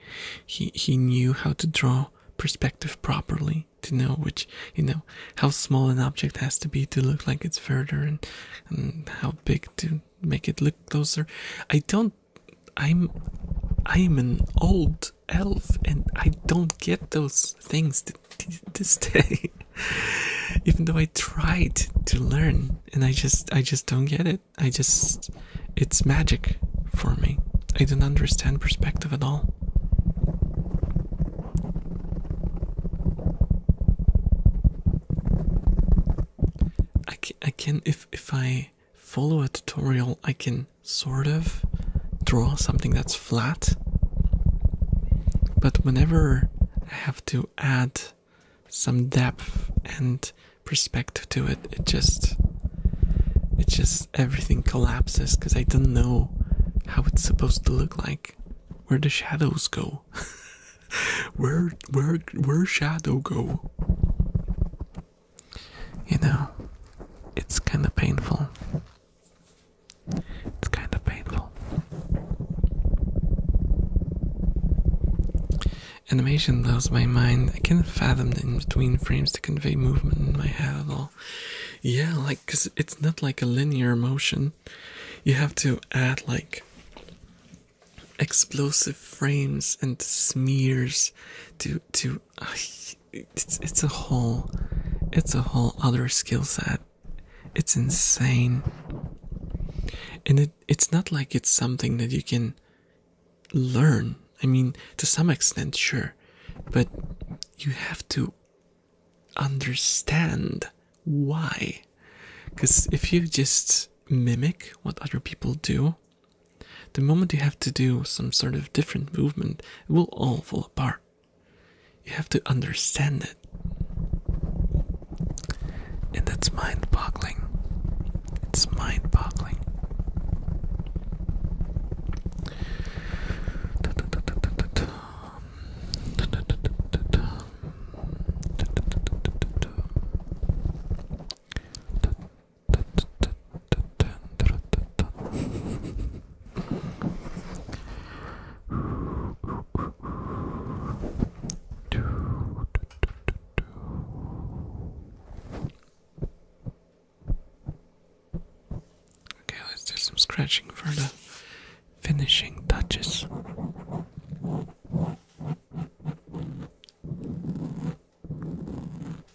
He he knew how to draw perspective properly to know which you know how small an object has to be to look like it's further and and how big to make it look closer. I don't I'm I'm an old elf and I don't get those things this day. [LAUGHS] Even though I tried to learn and I just I just don't get it. I just it's magic for me. I don't understand perspective at all. I can, I can if if I follow a tutorial, I can sort of draw something that's flat. But whenever I have to add some depth and perspective to it, it just it just everything collapses because I don't know how it's supposed to look like. Where the shadows go. [LAUGHS] where where where shadow go? you know, it's kind of painful. It's kind of painful. Animation blows my mind. I can't fathom the in between frames to convey movement in my head at all. Yeah, like, because it's not like a linear motion. You have to add, like, explosive frames and smears to to [SIGHS] it's it's a whole it's a whole other skill set. It's insane. And it it's not like it's something that you can learn. I mean, to some extent, sure, but you have to understand why. Because if you just mimic what other people do, the moment you have to do some sort of different movement, it will all fall apart. You have to understand it. And that's mind boggling. It's mind boggling. Okay, let's do some scratching for the finishing touches.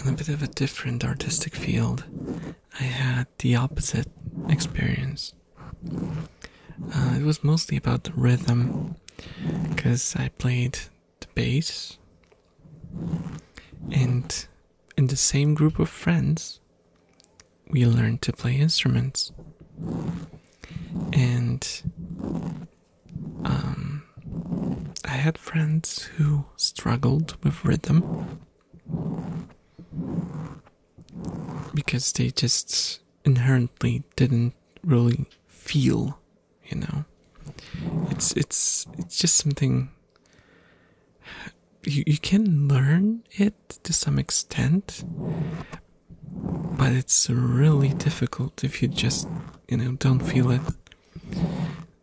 In a bit of a different artistic field, I had the opposite experience. Uh, it was mostly about the rhythm because I played the bass and in the same group of friends we learned to play instruments and um, I had friends who struggled with rhythm because they just inherently didn't really feel, you know. It's it's it's just something you you can learn it to some extent, but it's really difficult if you just you know don't feel it.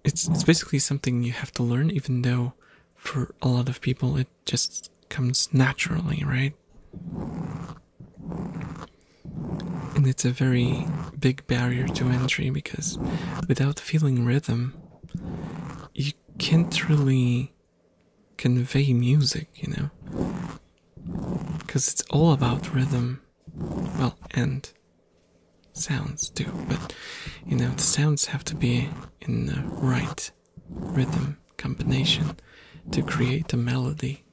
It's it's basically something you have to learn, even though for a lot of people it just comes naturally, right? And it's a very big barrier to entry because without feeling rhythm, you can't really convey music, you know? Because it's all about rhythm. Well, and sounds too, but you know, the sounds have to be in the right rhythm combination to create a melody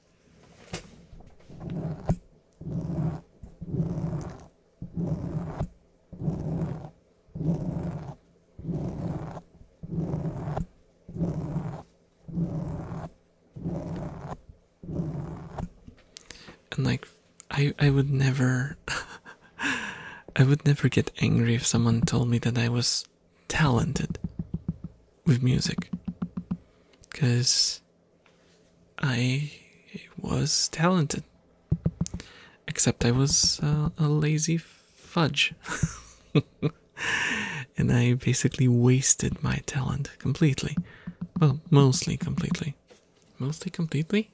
and like I I would never [LAUGHS] I would never get angry if someone told me that I was talented with music because I was talented, except I was uh, a lazy fudge. [LAUGHS] and I basically wasted my talent completely. Well, mostly completely. Mostly completely?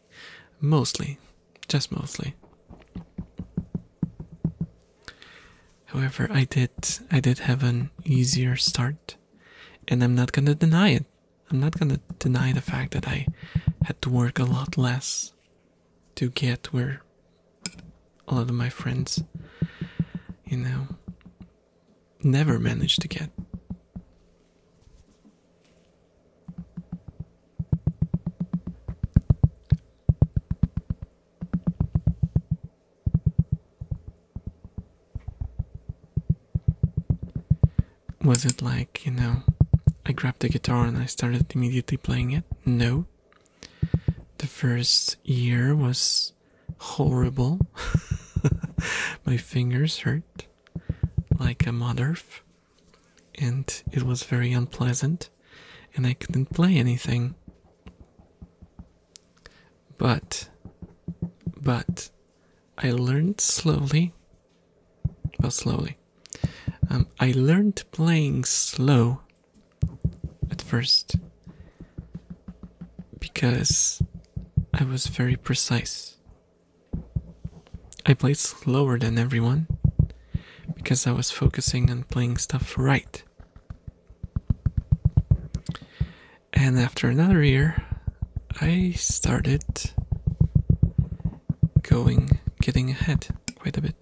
Mostly. Just mostly. However, I did I did have an easier start, and I'm not gonna deny it. I'm not gonna deny the fact that I had to work a lot less to get where a lot of my friends, you know, never managed to get. Was it like, you know, I grabbed the guitar and I started immediately playing it? No. The first year was horrible. [LAUGHS] My fingers hurt like a mother, and it was very unpleasant, and I couldn't play anything. But, but, I learned slowly. Well, slowly. Um, I learned playing slow at first because I was very precise. I played slower than everyone because I was focusing on playing stuff right. And after another year, I started going, getting ahead quite a bit.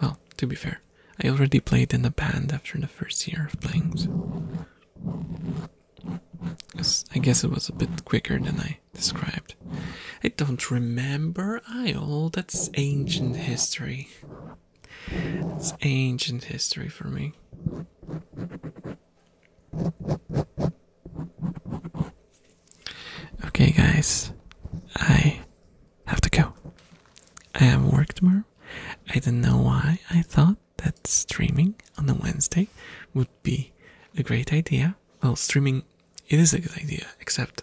Well, to be fair, I already played in a band after the first year of playing. I guess it was a bit quicker than I described. I don't remember I Isle, oh, that's ancient history. It's ancient history for me. Okay, guys, I have to go. I have work tomorrow. I don't know why I thought that streaming on a Wednesday would be a great idea. Well, streaming it is a good idea, except